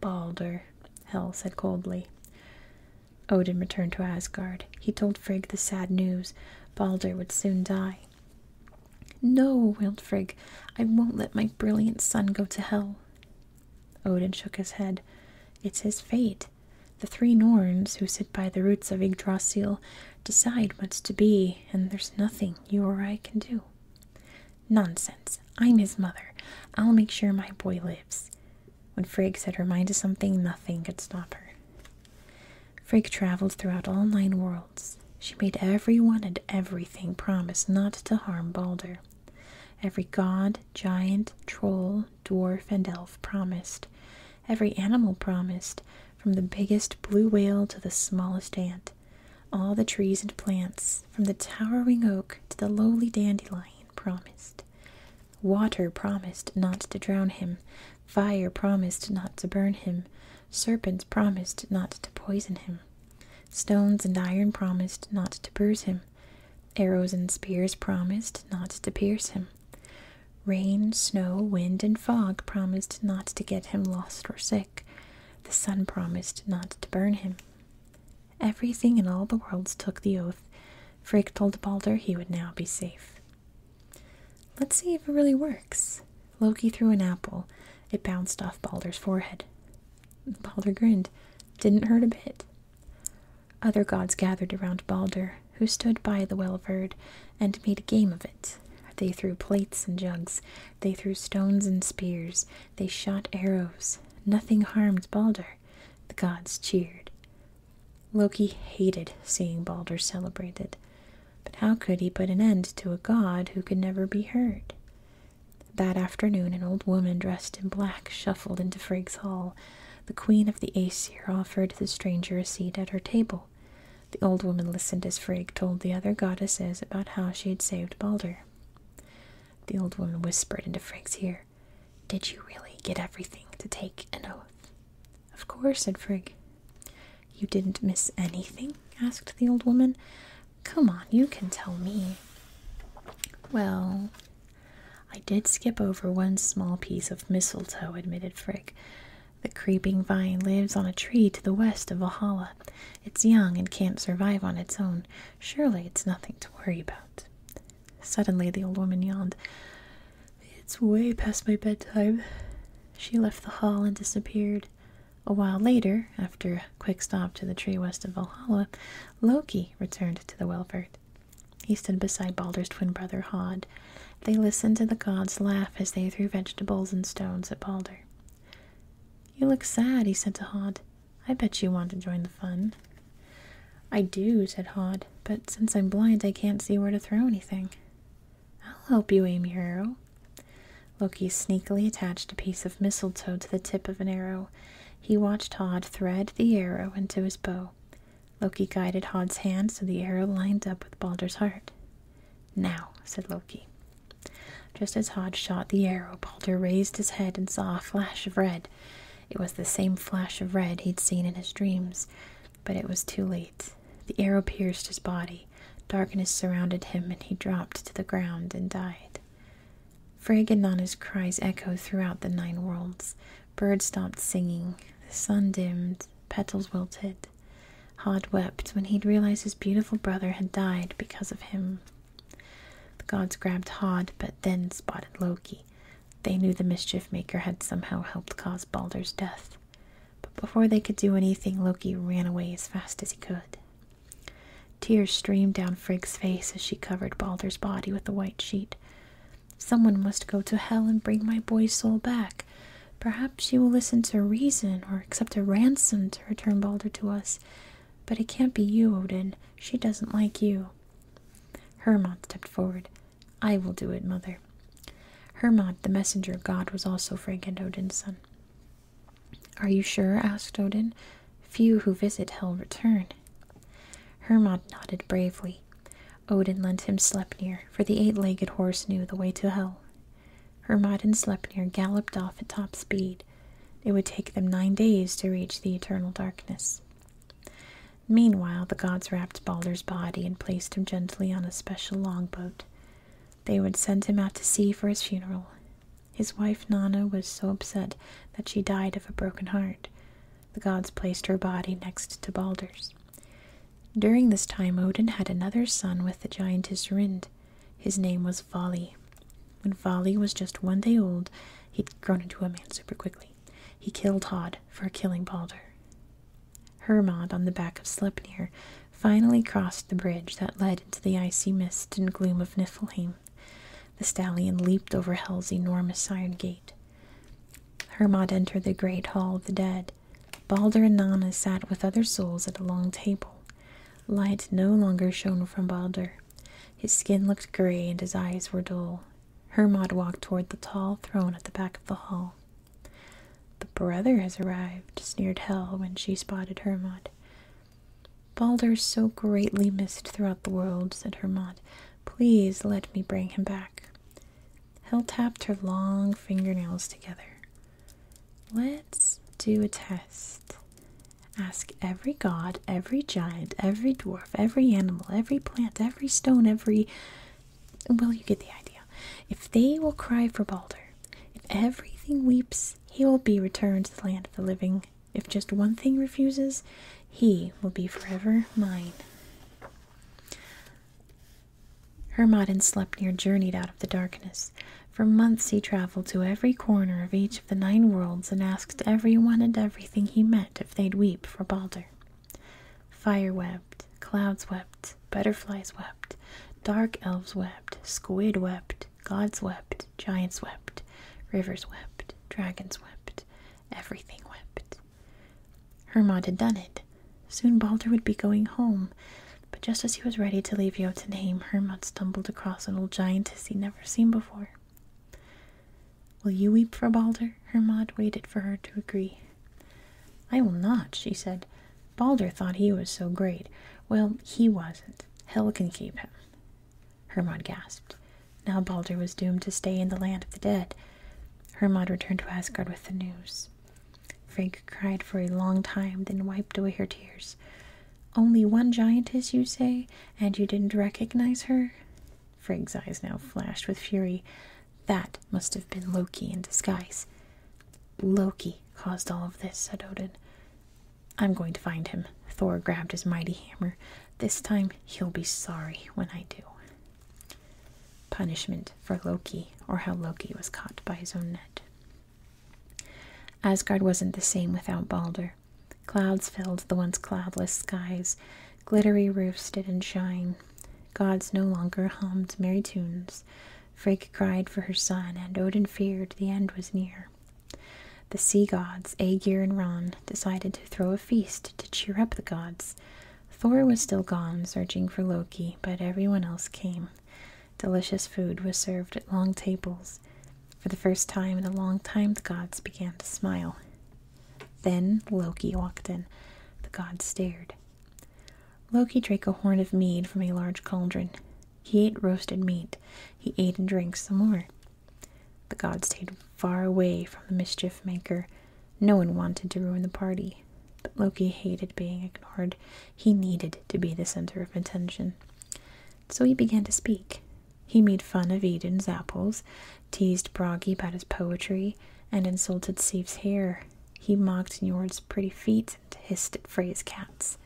Balder, Hel said coldly. Odin returned to Asgard. He told Frigg the sad news. Balder would soon die. No, wailed Frigg. I won't let my brilliant son go to hell. Odin shook his head. It's his fate. The three Norns, who sit by the roots of Yggdrasil, decide what's to be, and there's nothing you or I can do. Nonsense. I'm his mother. I'll make sure my boy lives. When Frigg set her mind to something, nothing could stop her. Frigg traveled throughout all nine worlds. She made everyone and everything promise not to harm Balder. Every god, giant, troll, dwarf, and elf promised. Every animal promised, from the biggest blue whale to the smallest ant. All the trees and plants, from the towering oak to the lowly dandelion, promised. Water promised not to drown him, fire promised not to burn him, serpents promised not to poison him, stones and iron promised not to bruise him, arrows and spears promised not to pierce him. Rain, snow, wind, and fog promised not to get him lost or sick. The sun promised not to burn him. Everything in all the worlds took the oath Frigg told Balder he would now be safe. Let's see if it really works. Loki threw an apple. It bounced off Balder's forehead. Balder grinned. Didn't hurt a bit. Other gods gathered around Balder, who stood by the well of and made a game of it. They threw plates and jugs. They threw stones and spears. They shot arrows. Nothing harmed Balder. The gods cheered. Loki hated seeing Balder celebrated, but how could he put an end to a god who could never be hurt? That afternoon, an old woman dressed in black shuffled into Frigg's hall. The queen of the Aesir offered the stranger a seat at her table. The old woman listened as Frigg told the other goddesses about how she had saved Balder. The old woman whispered into Frigg's ear, did you really get everything to take an oath? Of course, said Frigg. You didn't miss anything? asked the old woman. Come on, you can tell me. Well, I did skip over one small piece of mistletoe, admitted Frigg. The creeping vine lives on a tree to the west of Valhalla. It's young and can't survive on its own. Surely it's nothing to worry about. Suddenly the old woman yawned. It's way past my bedtime. She left the hall and disappeared. A while later, after a quick stop to the tree west of Valhalla, Loki returned to the Welvert. He stood beside Balder's twin brother Hod. They listened to the gods laugh as they threw vegetables and stones at Balder. You look sad, he said to Hod. I bet you want to join the fun. I do, said Hod, but since I'm blind, I can't see where to throw anything. I'll help you aim your arrow. Loki sneakily attached a piece of mistletoe to the tip of an arrow. He watched Hod thread the arrow into his bow. Loki guided Hod's hand so the arrow lined up with Balder's heart. Now, said Loki. Just as Hod shot the arrow, Balder raised his head and saw a flash of red. It was the same flash of red he'd seen in his dreams, but it was too late. The arrow pierced his body. Darkness surrounded him, and he dropped to the ground and died. Frigg and Nanna's cries echoed throughout the nine worlds. Birds stopped singing. The sun dimmed. Petals wilted. Hod wept when he'd realized his beautiful brother had died because of him. The gods grabbed Hod, but then spotted Loki. They knew the mischief maker had somehow helped cause Balder's death, but before they could do anything, Loki ran away as fast as he could. Tears streamed down Frigg's face as she covered Balder's body with the white sheet. Someone must go to hell and bring my boy's soul back. Perhaps she will listen to reason or accept a ransom to return Balder to us. But it can't be you, Odin. She doesn't like you. Hermod stepped forward. I will do it, mother. Hermod, the messenger god, was also Frank and Odin's son. Are you sure? asked Odin. Few who visit hell return. Hermod nodded bravely. Odin lent him Sleipnir, for the eight legged horse knew the way to hell. Hermod and Sleipnir galloped off at top speed. It would take them nine days to reach the eternal darkness. Meanwhile, the gods wrapped Balder's body and placed him gently on a special longboat. They would send him out to sea for his funeral. His wife Nanna was so upset that she died of a broken heart. The gods placed her body next to Balder's. During this time, Odin had another son with the giantess Rind. His name was Vali. When Vali was just one day old, he'd grown into a man super quickly. He killed Hod for killing Balder. Hermod, on the back of Sleipnir, finally crossed the bridge that led into the icy mist and gloom of Niflheim. The stallion leaped over Hel's enormous iron gate. Hermod entered the great hall of the dead. Balder and Nanna sat with other souls at a long table. Light no longer shone from Balder. His skin looked grey and his eyes were dull. Hermod walked toward the tall throne at the back of the hall. The brother has arrived, sneered Hel when she spotted Hermod. Balder so greatly missed throughout the world, said Hermod. Please let me bring him back. Hel tapped her long fingernails together. Let's do a test. Ask every god, every giant, every dwarf, every animal, every plant, every stone, every well, you get the idea. If they will cry for Balder, if everything weeps, he will be returned to the land of the living. If just one thing refuses, he will be forever mine. and Sleipnir journeyed out of the darkness. For months he traveled to every corner of each of the nine worlds and asked every one and everything he met if they'd weep for Balder. Fire wept, clouds wept, butterflies wept, dark elves wept, squid wept, gods wept, giants wept, rivers wept, dragons wept, everything wept. Hermod had done it. Soon Balder would be going home, but just as he was ready to leave Jotunheim, Hermod stumbled across an old giantess he'd never seen before. Will you weep for Balder? Hermod waited for her to agree. I will not, she said. Balder thought he was so great. Well, he wasn't. Hell can keep him. Hermod gasped. Now Balder was doomed to stay in the land of the dead. Hermod returned to Asgard with the news. Frigg cried for a long time, then wiped away her tears. Only one giantess, you say, and you didn't recognize her? Frigg's eyes now flashed with fury. That must have been Loki in disguise. Loki caused all of this, said Odin. I'm going to find him. Thor grabbed his mighty hammer. This time he'll be sorry when I do. Punishment for Loki, or how Loki was caught by his own net. Asgard wasn't the same without Balder. Clouds filled the once cloudless skies. Glittery roofs didn't shine. Gods no longer hummed merry tunes. Frigg cried for her son, and Odin feared the end was near. The sea gods, Aegir and Ron, decided to throw a feast to cheer up the gods. Thor was still gone, searching for Loki, but everyone else came. Delicious food was served at long tables. For the first time in a long time, the gods began to smile. Then Loki walked in. The gods stared. Loki drank a horn of mead from a large cauldron. He ate roasted meat. He ate and drank some more. The gods stayed far away from the mischief maker. No one wanted to ruin the party. But Loki hated being ignored. He needed to be the center of attention. So he began to speak. He made fun of Eden's apples teased Bragi about his poetry, and insulted Sif's hair. He mocked Njord's pretty feet and hissed at Frey's cats.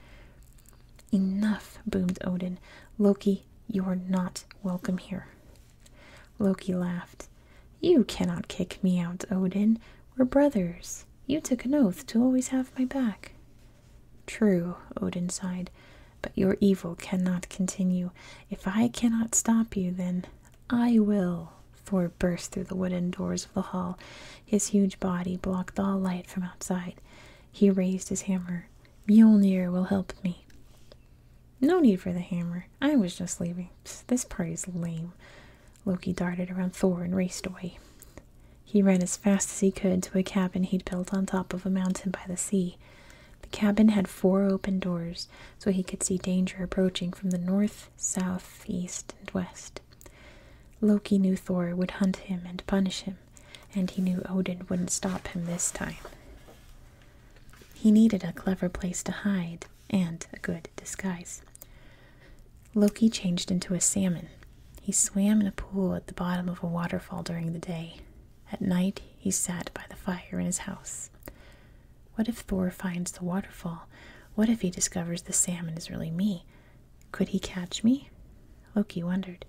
Enough, boomed Odin. Loki, you are not welcome here. Loki laughed. You cannot kick me out, Odin. We're brothers. You took an oath to always have my back. True, Odin sighed, but your evil cannot continue. If I cannot stop you, then I will. Thor burst through the wooden doors of the hall. His huge body blocked all light from outside. He raised his hammer. Mjolnir will help me. No need for the hammer. I was just leaving. this party's lame. Loki darted around Thor and raced away. He ran as fast as he could to a cabin he'd built on top of a mountain by the sea. The cabin had four open doors so he could see danger approaching from the north, south, east, and west. Loki knew Thor would hunt him and punish him, and he knew Odin wouldn't stop him this time. He needed a clever place to hide and a good disguise. Loki changed into a salmon. He swam in a pool at the bottom of a waterfall during the day. At night, he sat by the fire in his house. What if Thor finds the waterfall? What if he discovers the salmon is really me? Could he catch me? Loki wondered.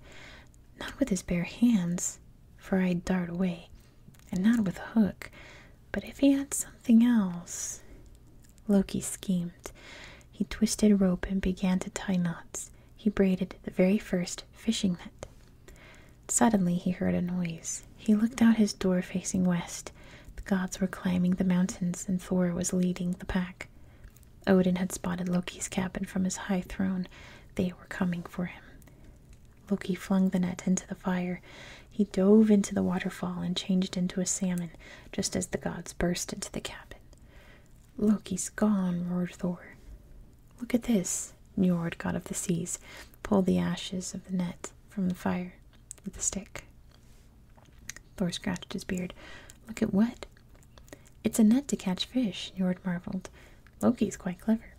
Not with his bare hands, for I'd dart away, and not with a hook, but if he had something else. Loki schemed. He twisted rope and began to tie knots. He braided the very first fishing net. Suddenly he heard a noise. He looked out his door facing west. The gods were climbing the mountains, and Thor was leading the pack. Odin had spotted Loki's cabin from his high throne. They were coming for him. Loki flung the net into the fire. He dove into the waterfall and changed into a salmon just as the gods burst into the cabin. Loki's gone, roared Thor. Look at this. Njord, god of the seas, pulled the ashes of the net from the fire with a stick. Thor scratched his beard. Look at what? It's a net to catch fish, Njord marveled. Loki's quite clever.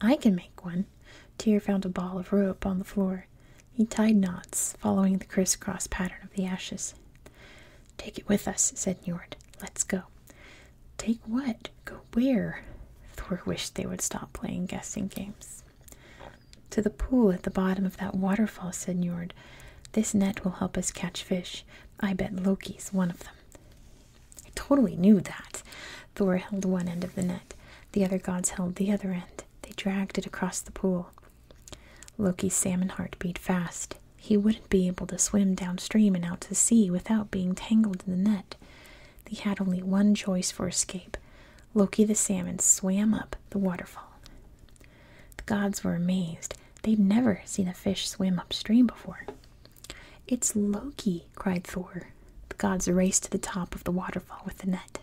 I can make one. Tyr found a ball of rope on the floor. He tied knots, following the crisscross pattern of the ashes. Take it with us, said Njord. Let's go. Take what? Go where? Thor wished they would stop playing guessing games. To the pool at the bottom of that waterfall, said Njord. This net will help us catch fish. I bet Loki's one of them. I totally knew that. Thor held one end of the net. The other gods held the other end. They dragged it across the pool. Loki's salmon heart beat fast. He wouldn't be able to swim downstream and out to sea without being tangled in the net. They had only one choice for escape Loki the salmon swam up the waterfall. The gods were amazed. They'd never seen a fish swim upstream before. It's Loki, cried Thor. The gods raced to the top of the waterfall with the net.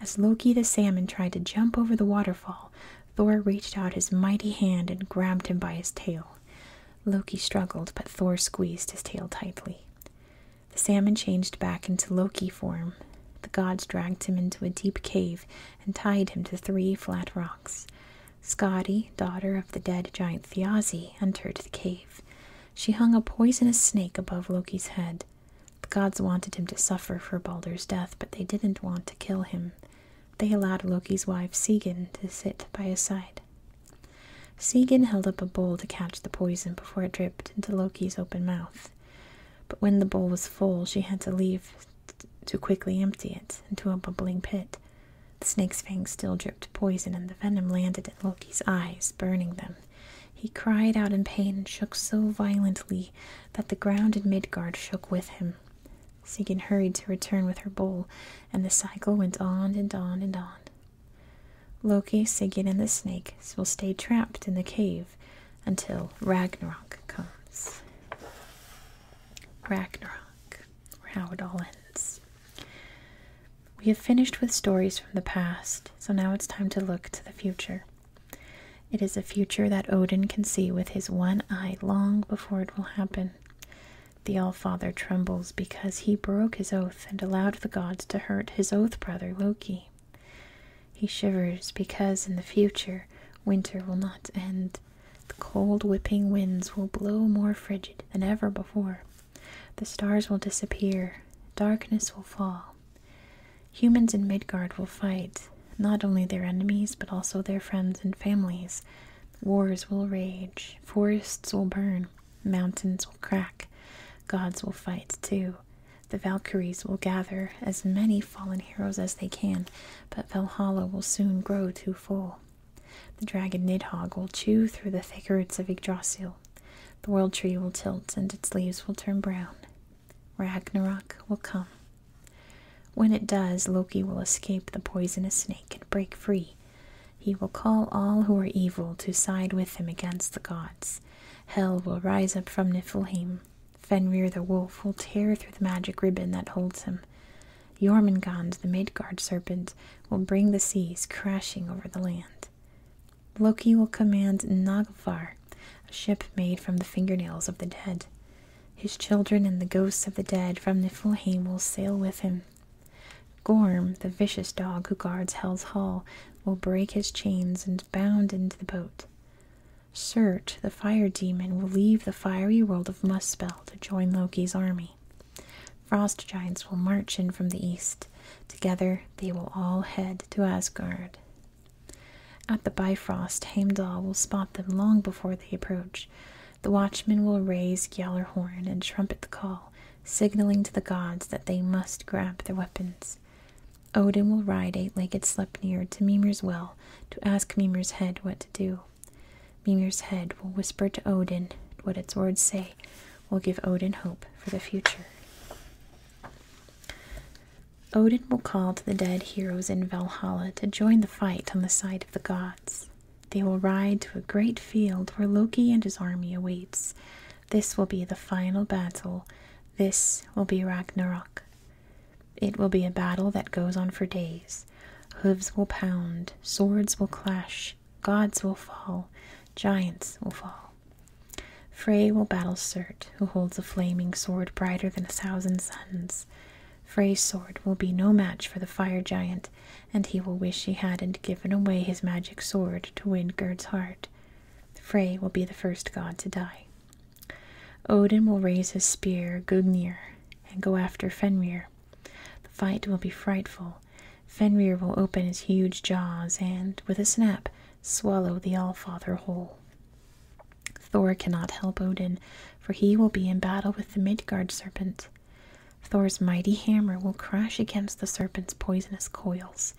As Loki the salmon tried to jump over the waterfall, Thor reached out his mighty hand and grabbed him by his tail. Loki struggled, but Thor squeezed his tail tightly. The salmon changed back into Loki form. The gods dragged him into a deep cave and tied him to three flat rocks. Skadi, daughter of the dead giant Thjazi, entered the cave. She hung a poisonous snake above Loki's head. The gods wanted him to suffer for Balder's death, but they didn't want to kill him. They allowed Loki's wife Sigyn to sit by his side. Segan held up a bowl to catch the poison before it dripped into Loki's open mouth. But when the bowl was full, she had to leave to quickly empty it into a bubbling pit. The snake's fangs still dripped poison, and the venom landed in Loki's eyes, burning them. He cried out in pain and shook so violently that the ground in Midgard shook with him. Sigyn hurried to return with her bowl, and the cycle went on and on and on. Loki, Sigyn, and the snake will stay trapped in the cave until Ragnarok comes. Ragnarok, or how it all ends. We have finished with stories from the past, so now it's time to look to the future. It is a future that Odin can see with his one eye long before it will happen. The Allfather trembles because he broke his oath and allowed the gods to hurt his oath brother Loki. He shivers because in the future winter will not end. The cold whipping winds will blow more frigid than ever before. The stars will disappear. Darkness will fall. Humans in Midgard will fight, not only their enemies, but also their friends and families. Wars will rage. Forests will burn. Mountains will crack, gods will fight too. The Valkyries will gather as many fallen heroes as they can, but Valhalla will soon grow too full. The dragon Nidhogg will chew through the thick roots of Yggdrasil. The world tree will tilt and its leaves will turn brown. Ragnarok will come. When it does, Loki will escape the poisonous snake and break free. He will call all who are evil to side with him against the gods. Hell will rise up from Niflheim. Fenrir the wolf will tear through the magic ribbon that holds him. Jormungand, the Midgard serpent, will bring the seas crashing over the land. Loki will command Naglfar, a ship made from the fingernails of the dead. His children and the ghosts of the dead from Niflheim will sail with him. Gorm, the vicious dog who guards Hell's Hall, will break his chains and bound into the boat. Cert, the fire demon, will leave the fiery world of Muspel to join Loki's army. Frost giants will march in from the east. Together they will all head to Asgard. At the Bifrost, Heimdall will spot them long before they approach. The watchmen will raise Gjallarhorn and trumpet the call, signaling to the gods that they must grab their weapons. Odin will ride eight-legged Sleipnir to Mimir's well to ask Mimir's head what to do. Mimir's head will whisper to Odin what its words say will give Odin hope for the future. Odin will call to the dead heroes in Valhalla to join the fight on the side of the gods. They will ride to a great field where Loki and his army awaits. This will be the final battle. This will be Ragnarok. It will be a battle that goes on for days. Hooves will pound, swords will clash, gods will fall, giants will fall. Frey will battle Surt, who holds a flaming sword brighter than a thousand suns. Frey's sword will be no match for the fire giant, and he will wish he hadn't given away his magic sword to win Gerd's heart. Frey will be the first god to die. Odin will raise his spear, Gugnir, and go after Fenrir. The fight will be frightful. Fenrir will open his huge jaws and, with a snap, swallow the Allfather whole. Thor cannot help Odin, for he will be in battle with the Midgard serpent. Thor's mighty hammer will crash against the serpent's poisonous coils.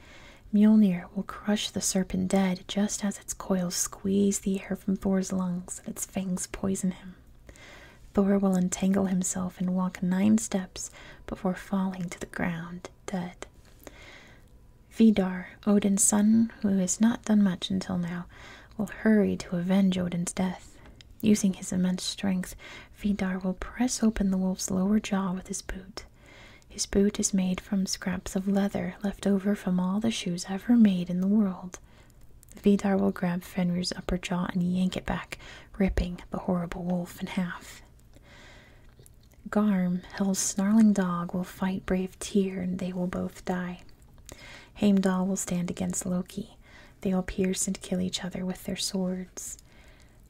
Mjolnir will crush the serpent dead just as its coils squeeze the air from Thor's lungs and its fangs poison him. Thor will entangle himself and walk nine steps before falling to the ground dead. Vidar, Odin's son, who has not done much until now, will hurry to avenge Odin's death. Using his immense strength, Vidar will press open the wolf's lower jaw with his boot. His boot is made from scraps of leather left over from all the shoes ever made in the world. Vidar will grab Fenrir's upper jaw and yank it back, ripping the horrible wolf in half. Garm, Hel's snarling dog, will fight brave Tyr and they will both die. Heimdall will stand against Loki. They will pierce and kill each other with their swords.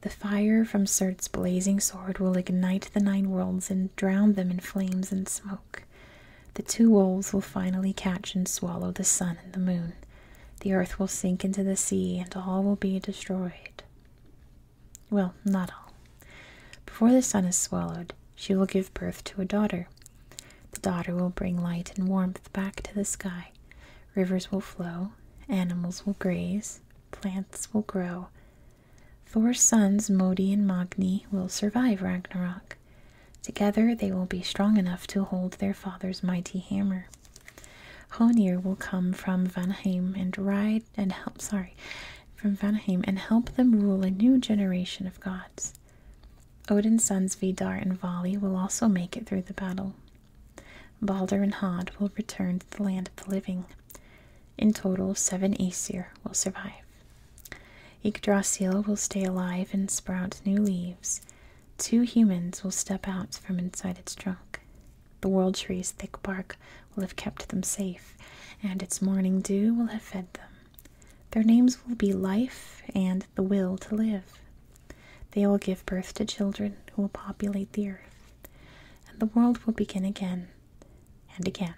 The fire from Surt's blazing sword will ignite the nine worlds and drown them in flames and smoke. The two wolves will finally catch and swallow the sun and the moon. The earth will sink into the sea, and all will be destroyed. Well, not all. Before the sun is swallowed, she will give birth to a daughter. The daughter will bring light and warmth back to the sky. Rivers will flow, animals will graze, plants will grow, Thor's sons, Modi and Magni, will survive Ragnarok. Together they will be strong enough to hold their father's mighty hammer. Honir will come from Vanheim and ride and help sorry from Vanheim and help them rule a new generation of gods. Odin's sons Vidar and Vali will also make it through the battle. Balder and Hod will return to the land of the living. In total, seven Aesir will survive. Yggdrasil will stay alive and sprout new leaves. Two humans will step out from inside its trunk. The world tree's thick bark will have kept them safe, and its morning dew will have fed them. Their names will be Life and the Will to Live. They will give birth to children who will populate the earth, and the world will begin again and again.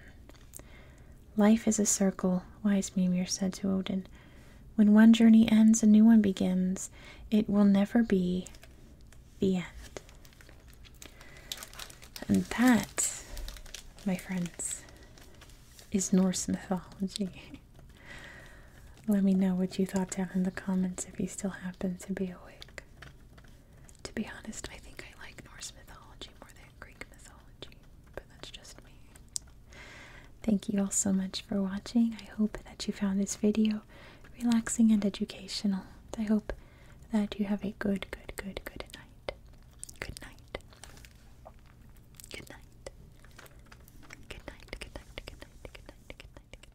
Life is a circle, wise Mimir said to Odin. When one journey ends, a new one begins. It will never be the end. And that, my friends, is Norse mythology. *laughs* Let me know what you thought down in the comments if you still happen to be awake. To be honest, I think I like Norse mythology more than Greek mythology, but that's just me. Thank you all so much for watching. I hope that you found this video relaxing and educational. I hope that you have a good, good, good, good night. Good night. Good night. Good night. Good night. Good night. Good night. Good night. Good night. Good night.